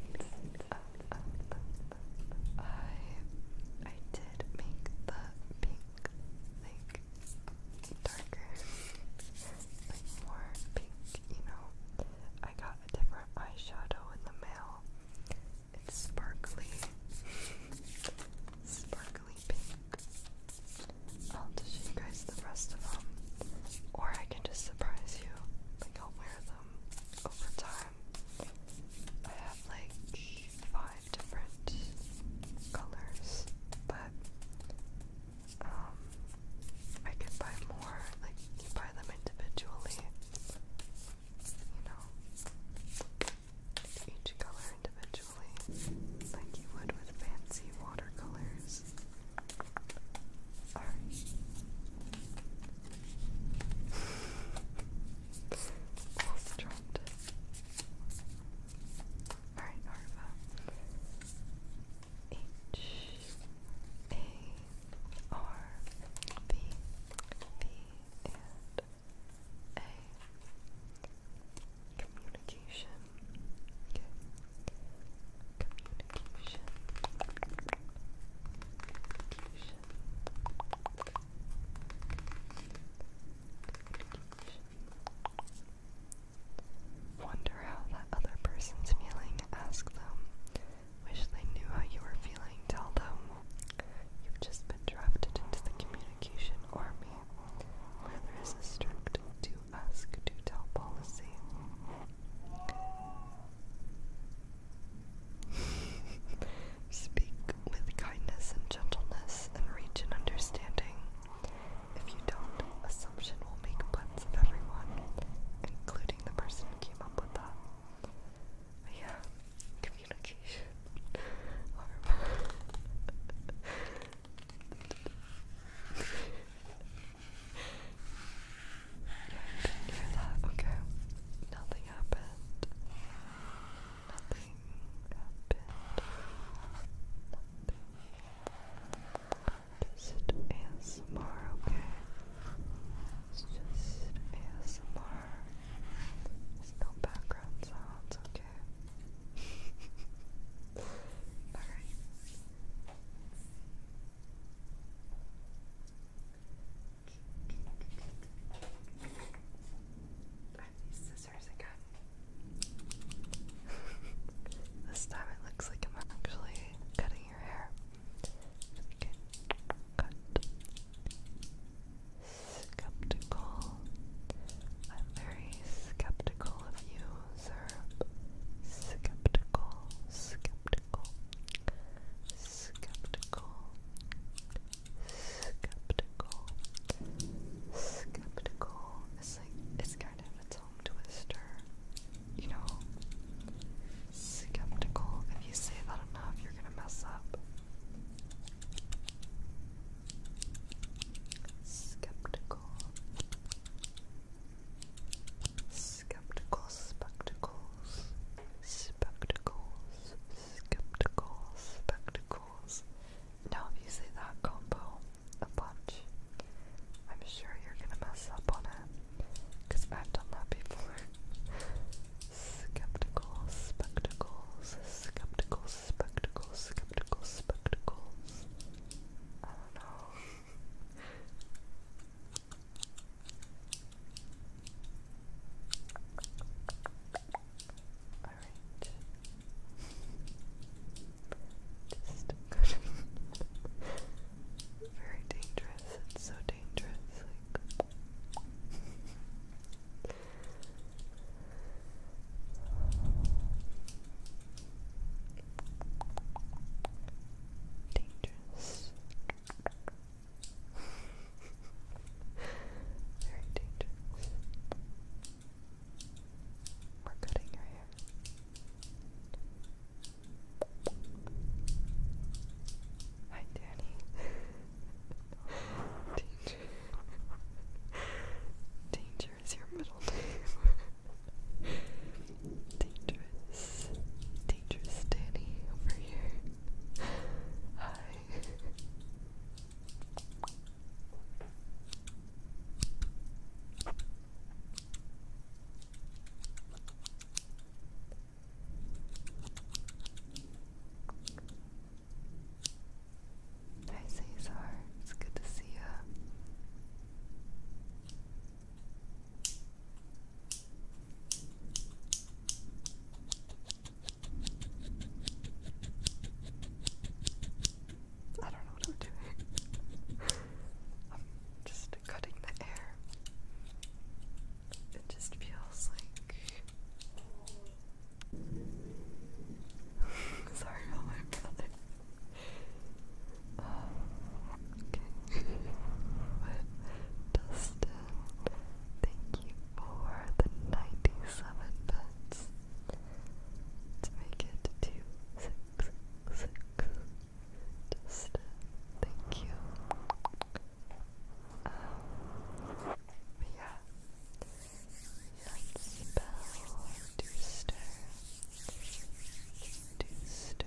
darker, like more pink, you know. I got a different eyeshadow in the mail. It's sparkly, sparkly pink. I'll show you guys the rest of them, or I can just surprise you. Like I'll wear them over time. I have like five different colors, but um, I could buy more, like, you buy them individually, you know, each color individually, like you would with fancy watercolors. Alright. Almost dropped it. Alright, Arva. H A R V V and A Communication. Communication. Communication. Wonder how that other person's feeling. Ask them. Wish they knew how you were feeling. Tell them you've just been drafted into the communication army where there is a strict do ask to tell policy. Speak with kindness and gentleness and reach an understanding. If you don't, assumption will make puns of everyone, including the person who came up with that. yeah, communication. Okay, nothing happened nothing happened. Nothing. Just ASMR, okay? It's just ASMR. There's no background sounds, okay? Alright. I scissors again. this time it looks like I'm actually cutting your hair. Skeptical. I'm very skeptical of you, sir. Skeptical. Skeptical. Skeptical. Skeptical. Skeptical it's kind of a tongue twister, you know. Skeptical. If you say that enough, you're gonna mess up. Skeptical. Skeptical spectacles. Spectacles. Skeptical and obviously that combo a bunch. I'm sure you're gonna mess up on it. Cause I've done that before. Skeptical spectacles, skeptical spectacles, skeptical spectacles. I don't know. Alright. Just very dangerous. It's so dangerous. dangerous. Very dangerous. We're cutting your hair. Hi, Danny. Danger. Danger is your middle name. Dangerous. Dangerous Danny over here. Hi. Hi Cesar, it's good to see you. I don't know what I'm doing. I'm just cutting the air. It just feels like. Sorry about my brother. Dustin, thank you for the 97 let's make it two six six. thank you. Um, yeah. Let's spell to stir. To stir.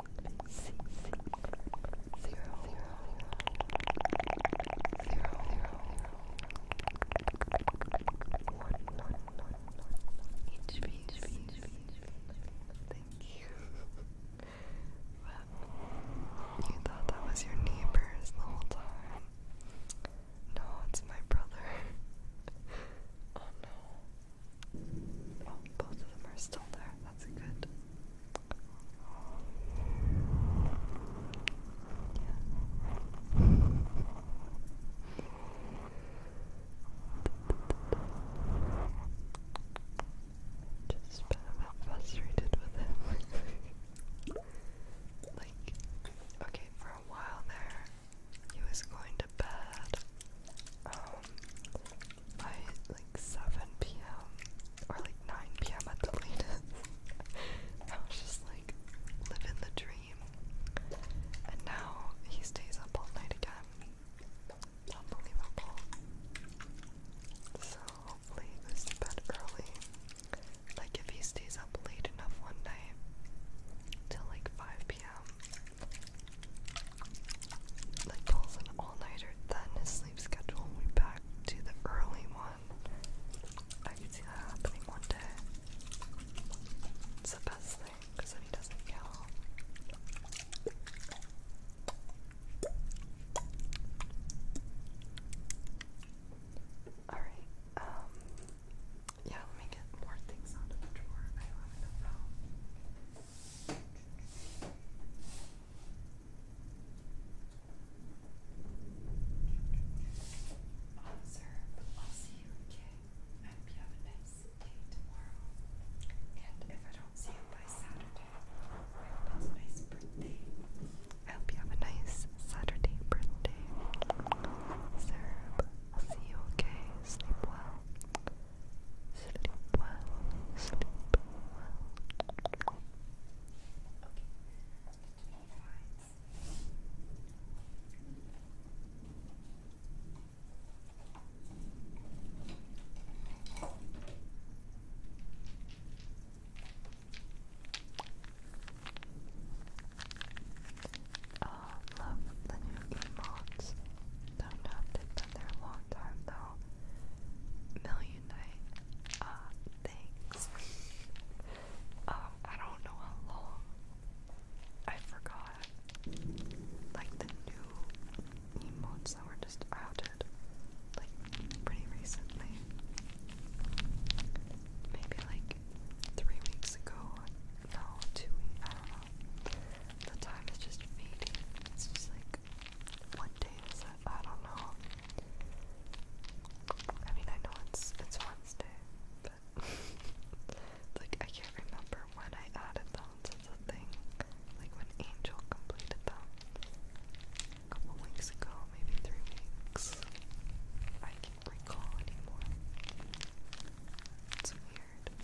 Thank you. you thought that was your neighbors the whole time. No, it's my brother. oh no. Oh, both of them are still there. That's good. Just been a bit frustrated with him. like, okay, for a while there, he was going to bed. Um, by like 7 p.m. or like 9 p.m. at the latest. I was just like living the dream. And now he stays up all night again. Unbelievable. So hopefully he goes to bed early. Like if he stays up late enough one night till like 5 p.m. Like pulls an all-nighter than his sleep schedule and back to the early one. I could see that happening one day. It's the best thing because then he doesn't yell. Alright, um, yeah, let me get more things out of the drawer. I don't have Officer, I'll see you again. I hope you have a nice day tomorrow. And if I don't see you by Saturday, I hope it's a nice birthday. I hope you have a nice Saturday uh, birthday. Serb, I'll see you okay. Sleep well. Sleep well. Sleep well. Oh, love the new emotes. Don't have this there a long time though million night uh, things. Um, I don't know how long. I forgot. Like the new emotes that were just outed, like pretty recently. Maybe like three weeks ago. No, two weeks. I don't know. The time is just fading. It's just like one day I don't know. I mean, I know it's it's Wednesday, but like I can't remember when I added them to the thing, like when Angel completed them a couple weeks ago, maybe three weeks. I can't recall anymore. It's weird.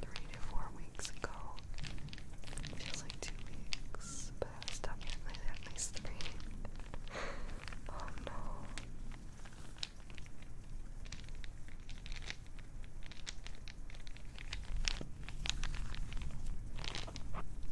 Three to four weeks ago. Feels like two weeks, but I was definitely at least three. oh no.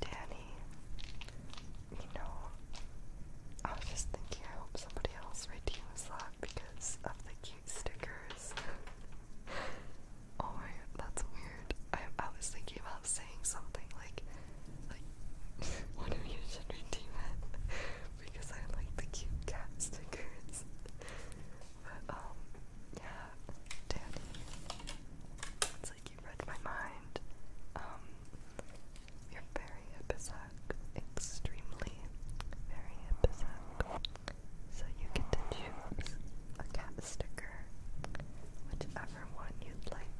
Danny, you know, I was just thinking, I hope somebody else redeems that because of the cute stickers. oh my god, that's weird. I, I was thinking about saying something like, like, one of you redeem it because I like the cute cat stickers. But um, yeah, Danny, it's like you read my mind. Um, you're very episodic, extremely very episodic. So you get to choose a cat sticker, whichever one you'd like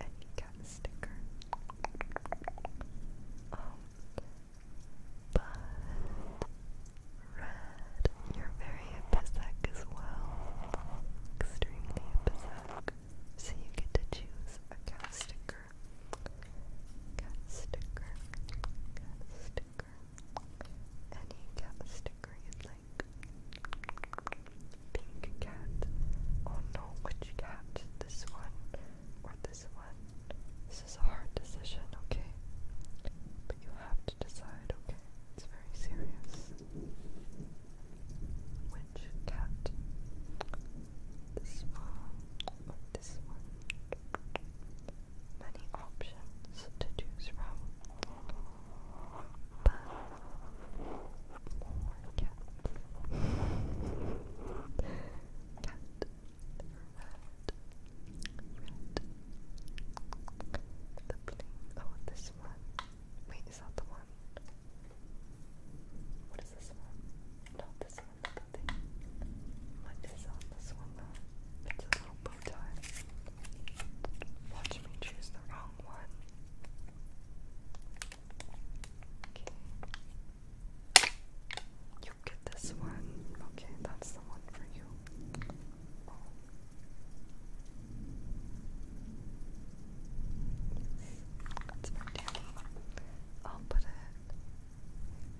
and you sticker. Um, but Red, you're very episodic as well. Extremely episodic. So you get to choose a cat sticker. Cat sticker. Cat sticker. Any cat sticker you like pink cat. Oh no, which cat? This one or this one? This is a hard decision, okay? But you have to decide, okay? It's very serious. Which cat? This one or this one? Many options to choose from. But more cat. Cat. The plane. Oh, this one. Wait, is that the one? What is this one? No, this one, not thing. What is on this one though? bow tie. Watch me choose the wrong one. Okay. You get this one. Okay, that's the one for you. It's for Danny. I'll put it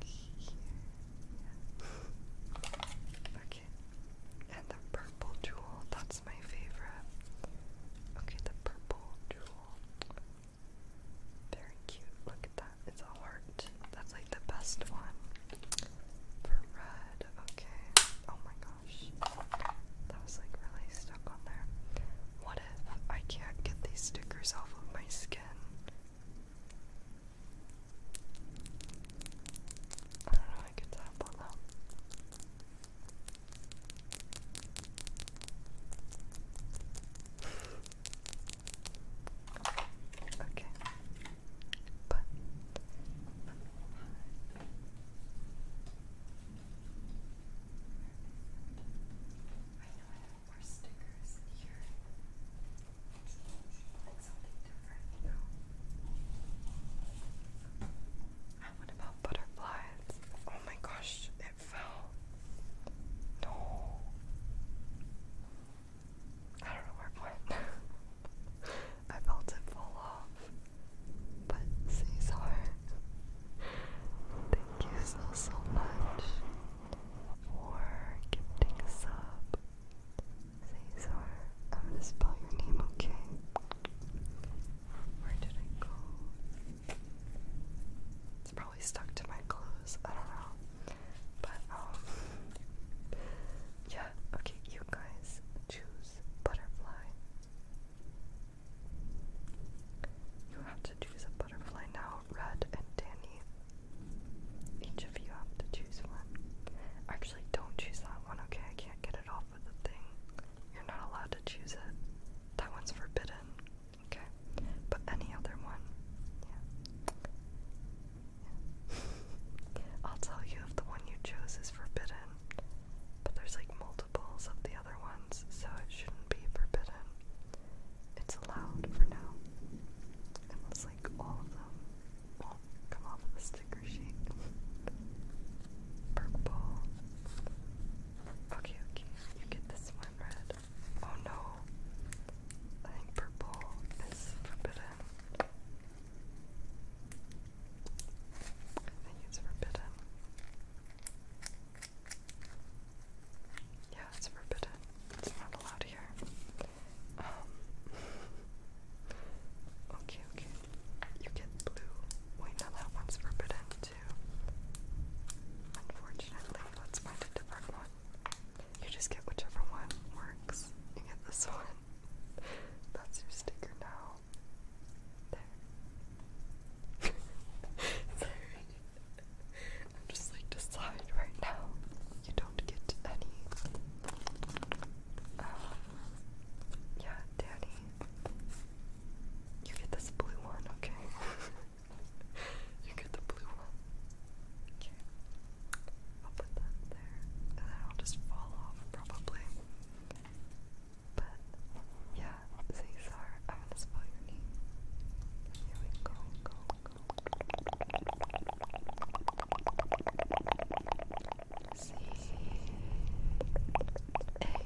here. okay. And the purple jewel, that's my favorite. Okay, the purple jewel. Very cute. Look at that. It's a heart. That's like the best one. For red. Okay. Oh my gosh. That was like really stuck on there. What if I can't get these stickers off of my skin? I don't know, I could tap on them. Okay. But I know I have more stickers here. something different, you about butterflies? Oh my gosh, fell. No. I don't know where it went. I felt it fall off. But Cesar, thank you so, so much for gifting a sub. Cesar, I'm gonna spell your name, okay? Where did it go? It's probably stuck to my clothes. I don't know. But, um, yeah, okay, you guys choose butterfly. You have to choose a butterfly now, Red and Danny. Each of you have to choose one. Actually, don't choose that one, okay? I can't get it off with the thing. You're not allowed to choose it. That one's forbidden. Okay. But any other one, yeah. I'll tell you if the one you chose is forbidden. But there's like multiples of the other ones, so it shouldn't be forbidden. It's allowed for now. Unless like all of them won't come off the sticker sheet. purple. Okay, okay, you get this one red. Oh no, I think purple is forbidden. I think it's forbidden. Yeah, it's forbidden. It's not allowed here. Um. okay, okay. You get blue. Wait, no, that one's forbidden. Unfortunately, let's find a different one. You just get whichever one works. You get this one. That's your sticker now. There. Sorry. I'm just like deciding right now. You don't get any. Um, yeah, Danny. You get this blue one, okay? you get the blue one. Okay. I'll put that there. And then I'll just fall off, probably. But, yeah, Cesar, I'm gonna spell your name. Here we go, go, go. C A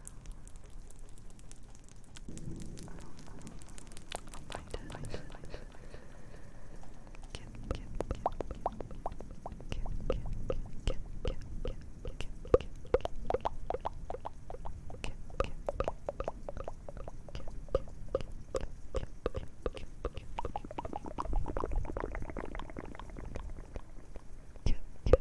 Kip, kip,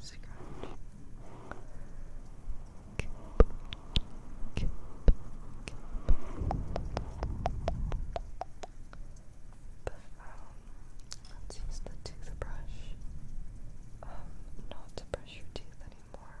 Scratch. Kip, let's use the toothbrush. Um, not to brush your teeth anymore.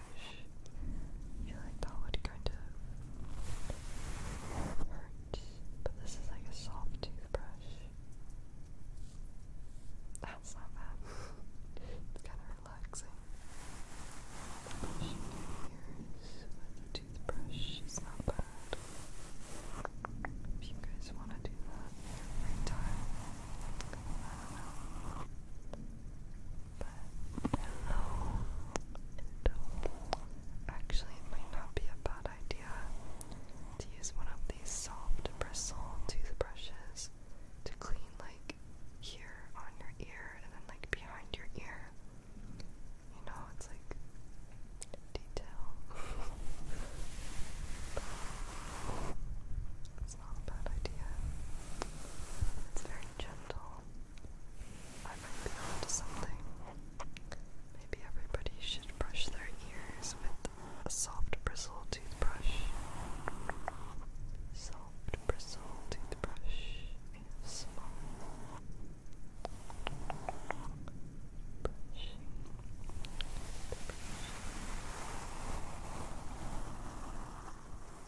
I feel like that would kind of hurt. But this is like a soft toothbrush. That's not bad. it's kind of relaxing. Brushing toothbrush is not bad. If you guys want to do that in time, but actually it might not be a bad idea to use one of these soft bristle toothbrushes to clean like here on your ear and then like behind your ear. You know, it's like detail. it's not a bad idea. It's very gentle. I might be onto something. Maybe everybody should brush their ears with a soft bristle toothbrush. Soft bristle toothbrush is small. I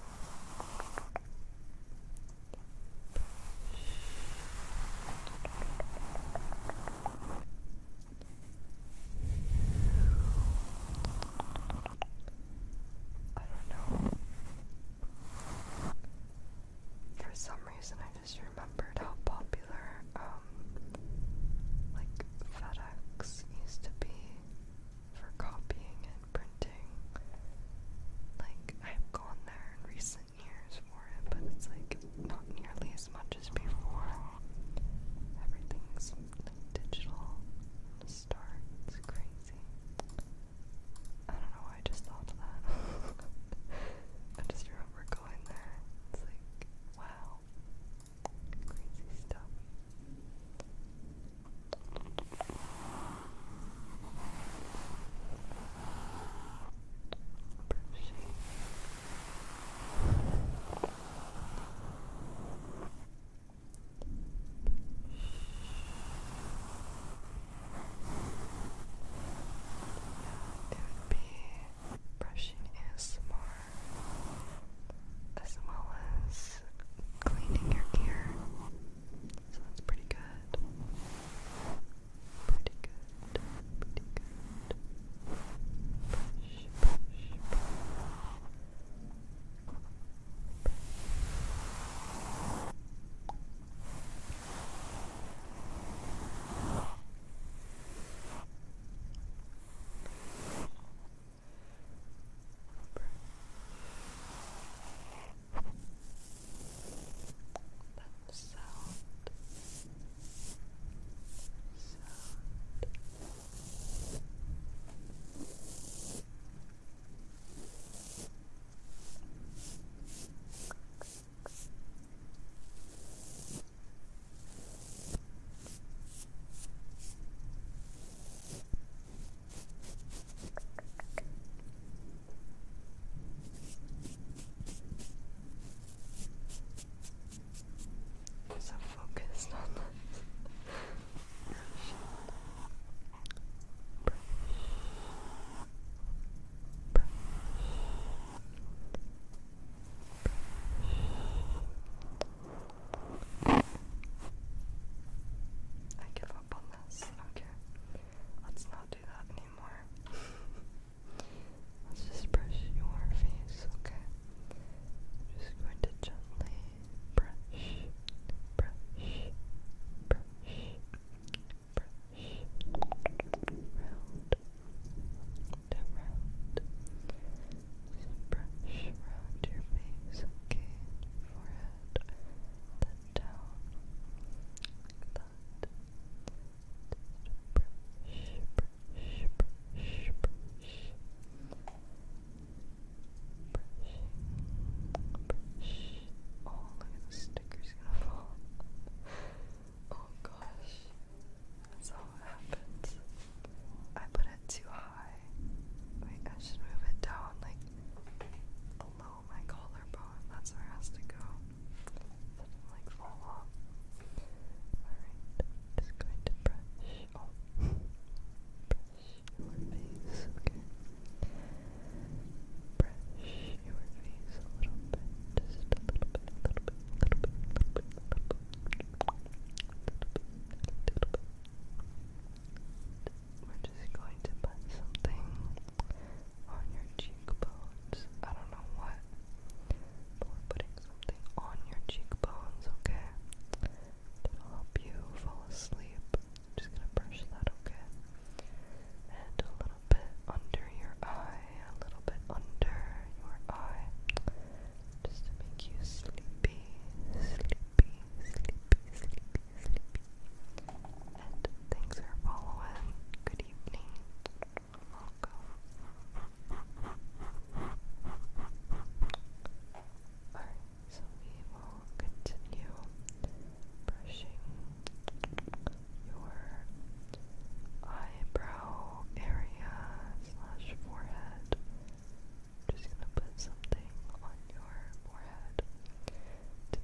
don't know. For some reason, I just remembered how popular, um, like FedEx used to be for copying and printing. Like, I've gone there in recent years for it, but it's like not nearly as much as before. Everything's like digital from crazy. I don't know I just thought that. I just remember going there. It's like, wow. Crazy stuff would be brushing is more as well as cleaning your ear. So that's pretty good. Pretty good. Pretty good. But sound, sound. Sound. I'm so focused on this. Brush. Brush. Brush. I give up this. Okay. Let's not do that anymore. Let's just brush your face, okay? just going to gently brush, brush, brush, brush, round and around. brush around your face, okay? forehead, down like that. Just brush, brush, brush, brush. Brushing, brush. Oh, look at the sticker's gonna fall. Oh gosh. That's how it happens. I put it too high. Wait, I should move it down like below my collarbone, that's where it has to go. like fall off. Alright, just going to brush. brush your face, okay. Brush your face a little bit, just a little bit, a little bit, a little bit, a little bit, little bit. We're just going to put something on your cheekbones. I don't know what, putting something on your cheekbones, okay? It'll help you fall asleep. just gonna brush that, okay? And a little bit under your eye, a little bit under your eye, just to make you sleepy, sleepy, sleepy, sleepy, sleepy. And thanks for following. Good evening. Welcome. Alright, so we will continue brushing your eyebrow area slash forehead. I'm just gonna put something on your forehead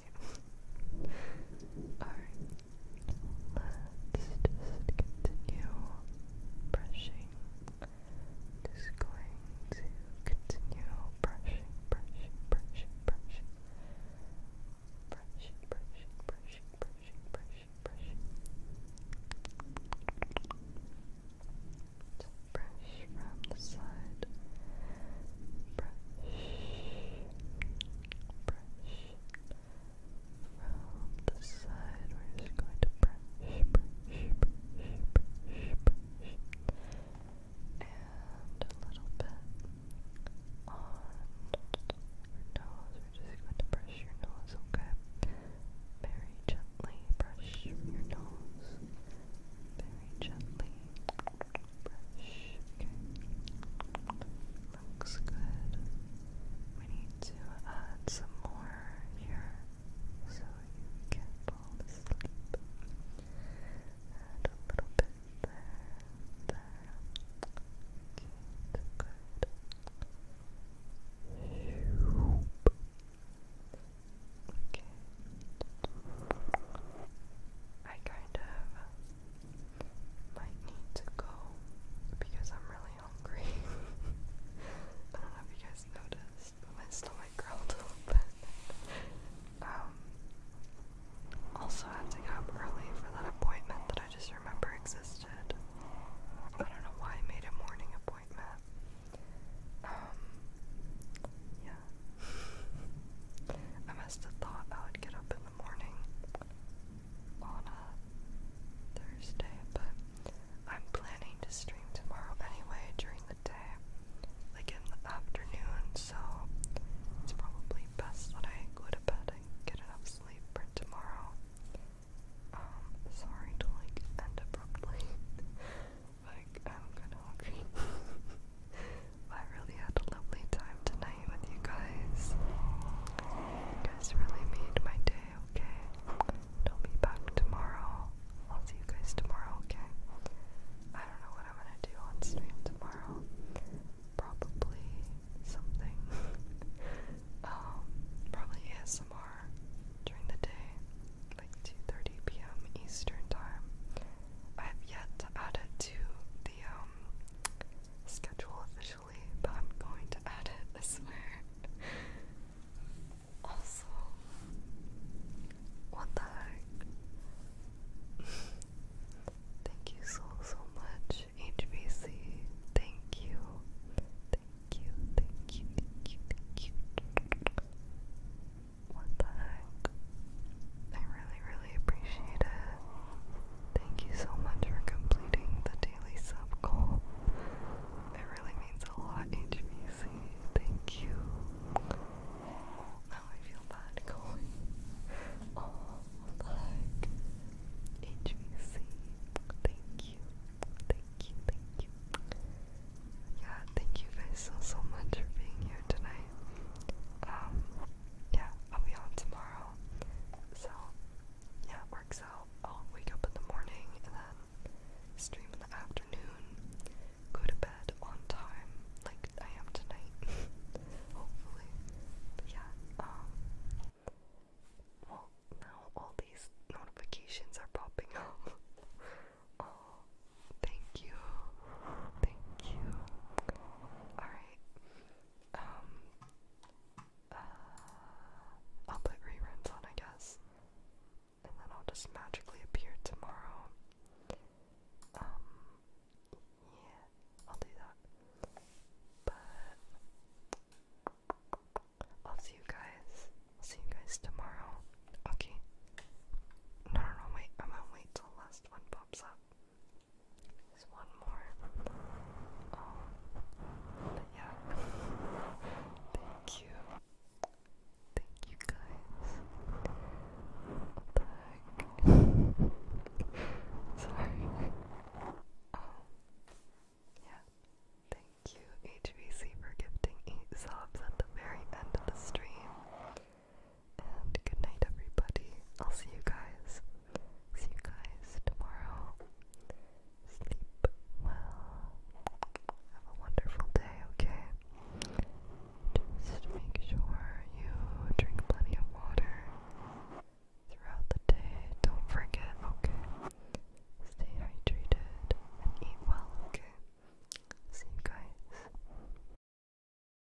honestly. Alright, let's just continue brushing. Just going to continue brushing, brushing, brushing, brushing. Brushing, brushing, brushing, brushing, brushing, brushing. Just brush, from the side. Brush, brush from the side. We're just going to brush, and a little bit on your nose. We're just going to brush your nose, okay? Very gently brush your nose. Very gently. Looks good. We need to add some more here so you can fall asleep. Add a little bit there, there. Okay, good. Okay, I kind of might need to go because I'm really hungry. I don't know if you guys noticed, but my stomach growled a little bit. Um, also, I to get up early for that appointment that I just remember existed. I don't know why I made a morning appointment. Um, yeah, I must have thought I would get up in the morning on a Thursday, but I'm planning to stream tomorrow anyway during the day, like in the afternoon, so it's probably best that I go to bed and get enough sleep for tomorrow. Um, sorry to like end abruptly. like I'm kinda hungry. I really had a lovely time tonight with you guys. You guys really made my day, okay? I'll be back tomorrow. I'll see you guys tomorrow, okay? I don't know what I'm gonna do on stream tomorrow. Probably something. um, probably ASMR during the day, like 2:30 p.m. Eastern time. I've yet to add it to the um, schedule officially, but I'm going to add it, I swear. also, what the heck? Thank you so, so much, HBC. Thank you. Thank you, thank you, thank you, thank you. What the heck? I really, really appreciate it. Thank you so much for completing the daily sub goal. It really means a lot, HBC. Thank you. Now I feel bad going. Oh, what HBC. Thank you. Thank you. Thank you. Yeah, thank you guys so so much for being here tonight. Um, yeah, I'll be on tomorrow. So, yeah, works out. I'll wake up in the morning and then stream in the afternoon, go to bed on time, like I am tonight, hopefully. But yeah, um, well, now all these notifications are popping up. oh, thank you. Thank you. Alright, um, uh, I'll put reruns on, I guess. And then I'll just magically appear tomorrow. Um, yeah, I'll do that. But I'll see you guys. I'll see you guys tomorrow. Okay. No, no, no, wait. I am gonna wait till last one pops up. There's one more. Oh, but yeah. Thank you. Thank you guys. What the heck? Sorry. Um, yeah. Thank you, HVC, for gifting eight at the very end of the stream. And good night, everybody. I'll see you guys. See you guys tomorrow. Sleep well. Have a wonderful day, okay? Just make sure you drink plenty of water throughout the day. Don't forget, okay? Stay hydrated and eat well, okay? See you guys.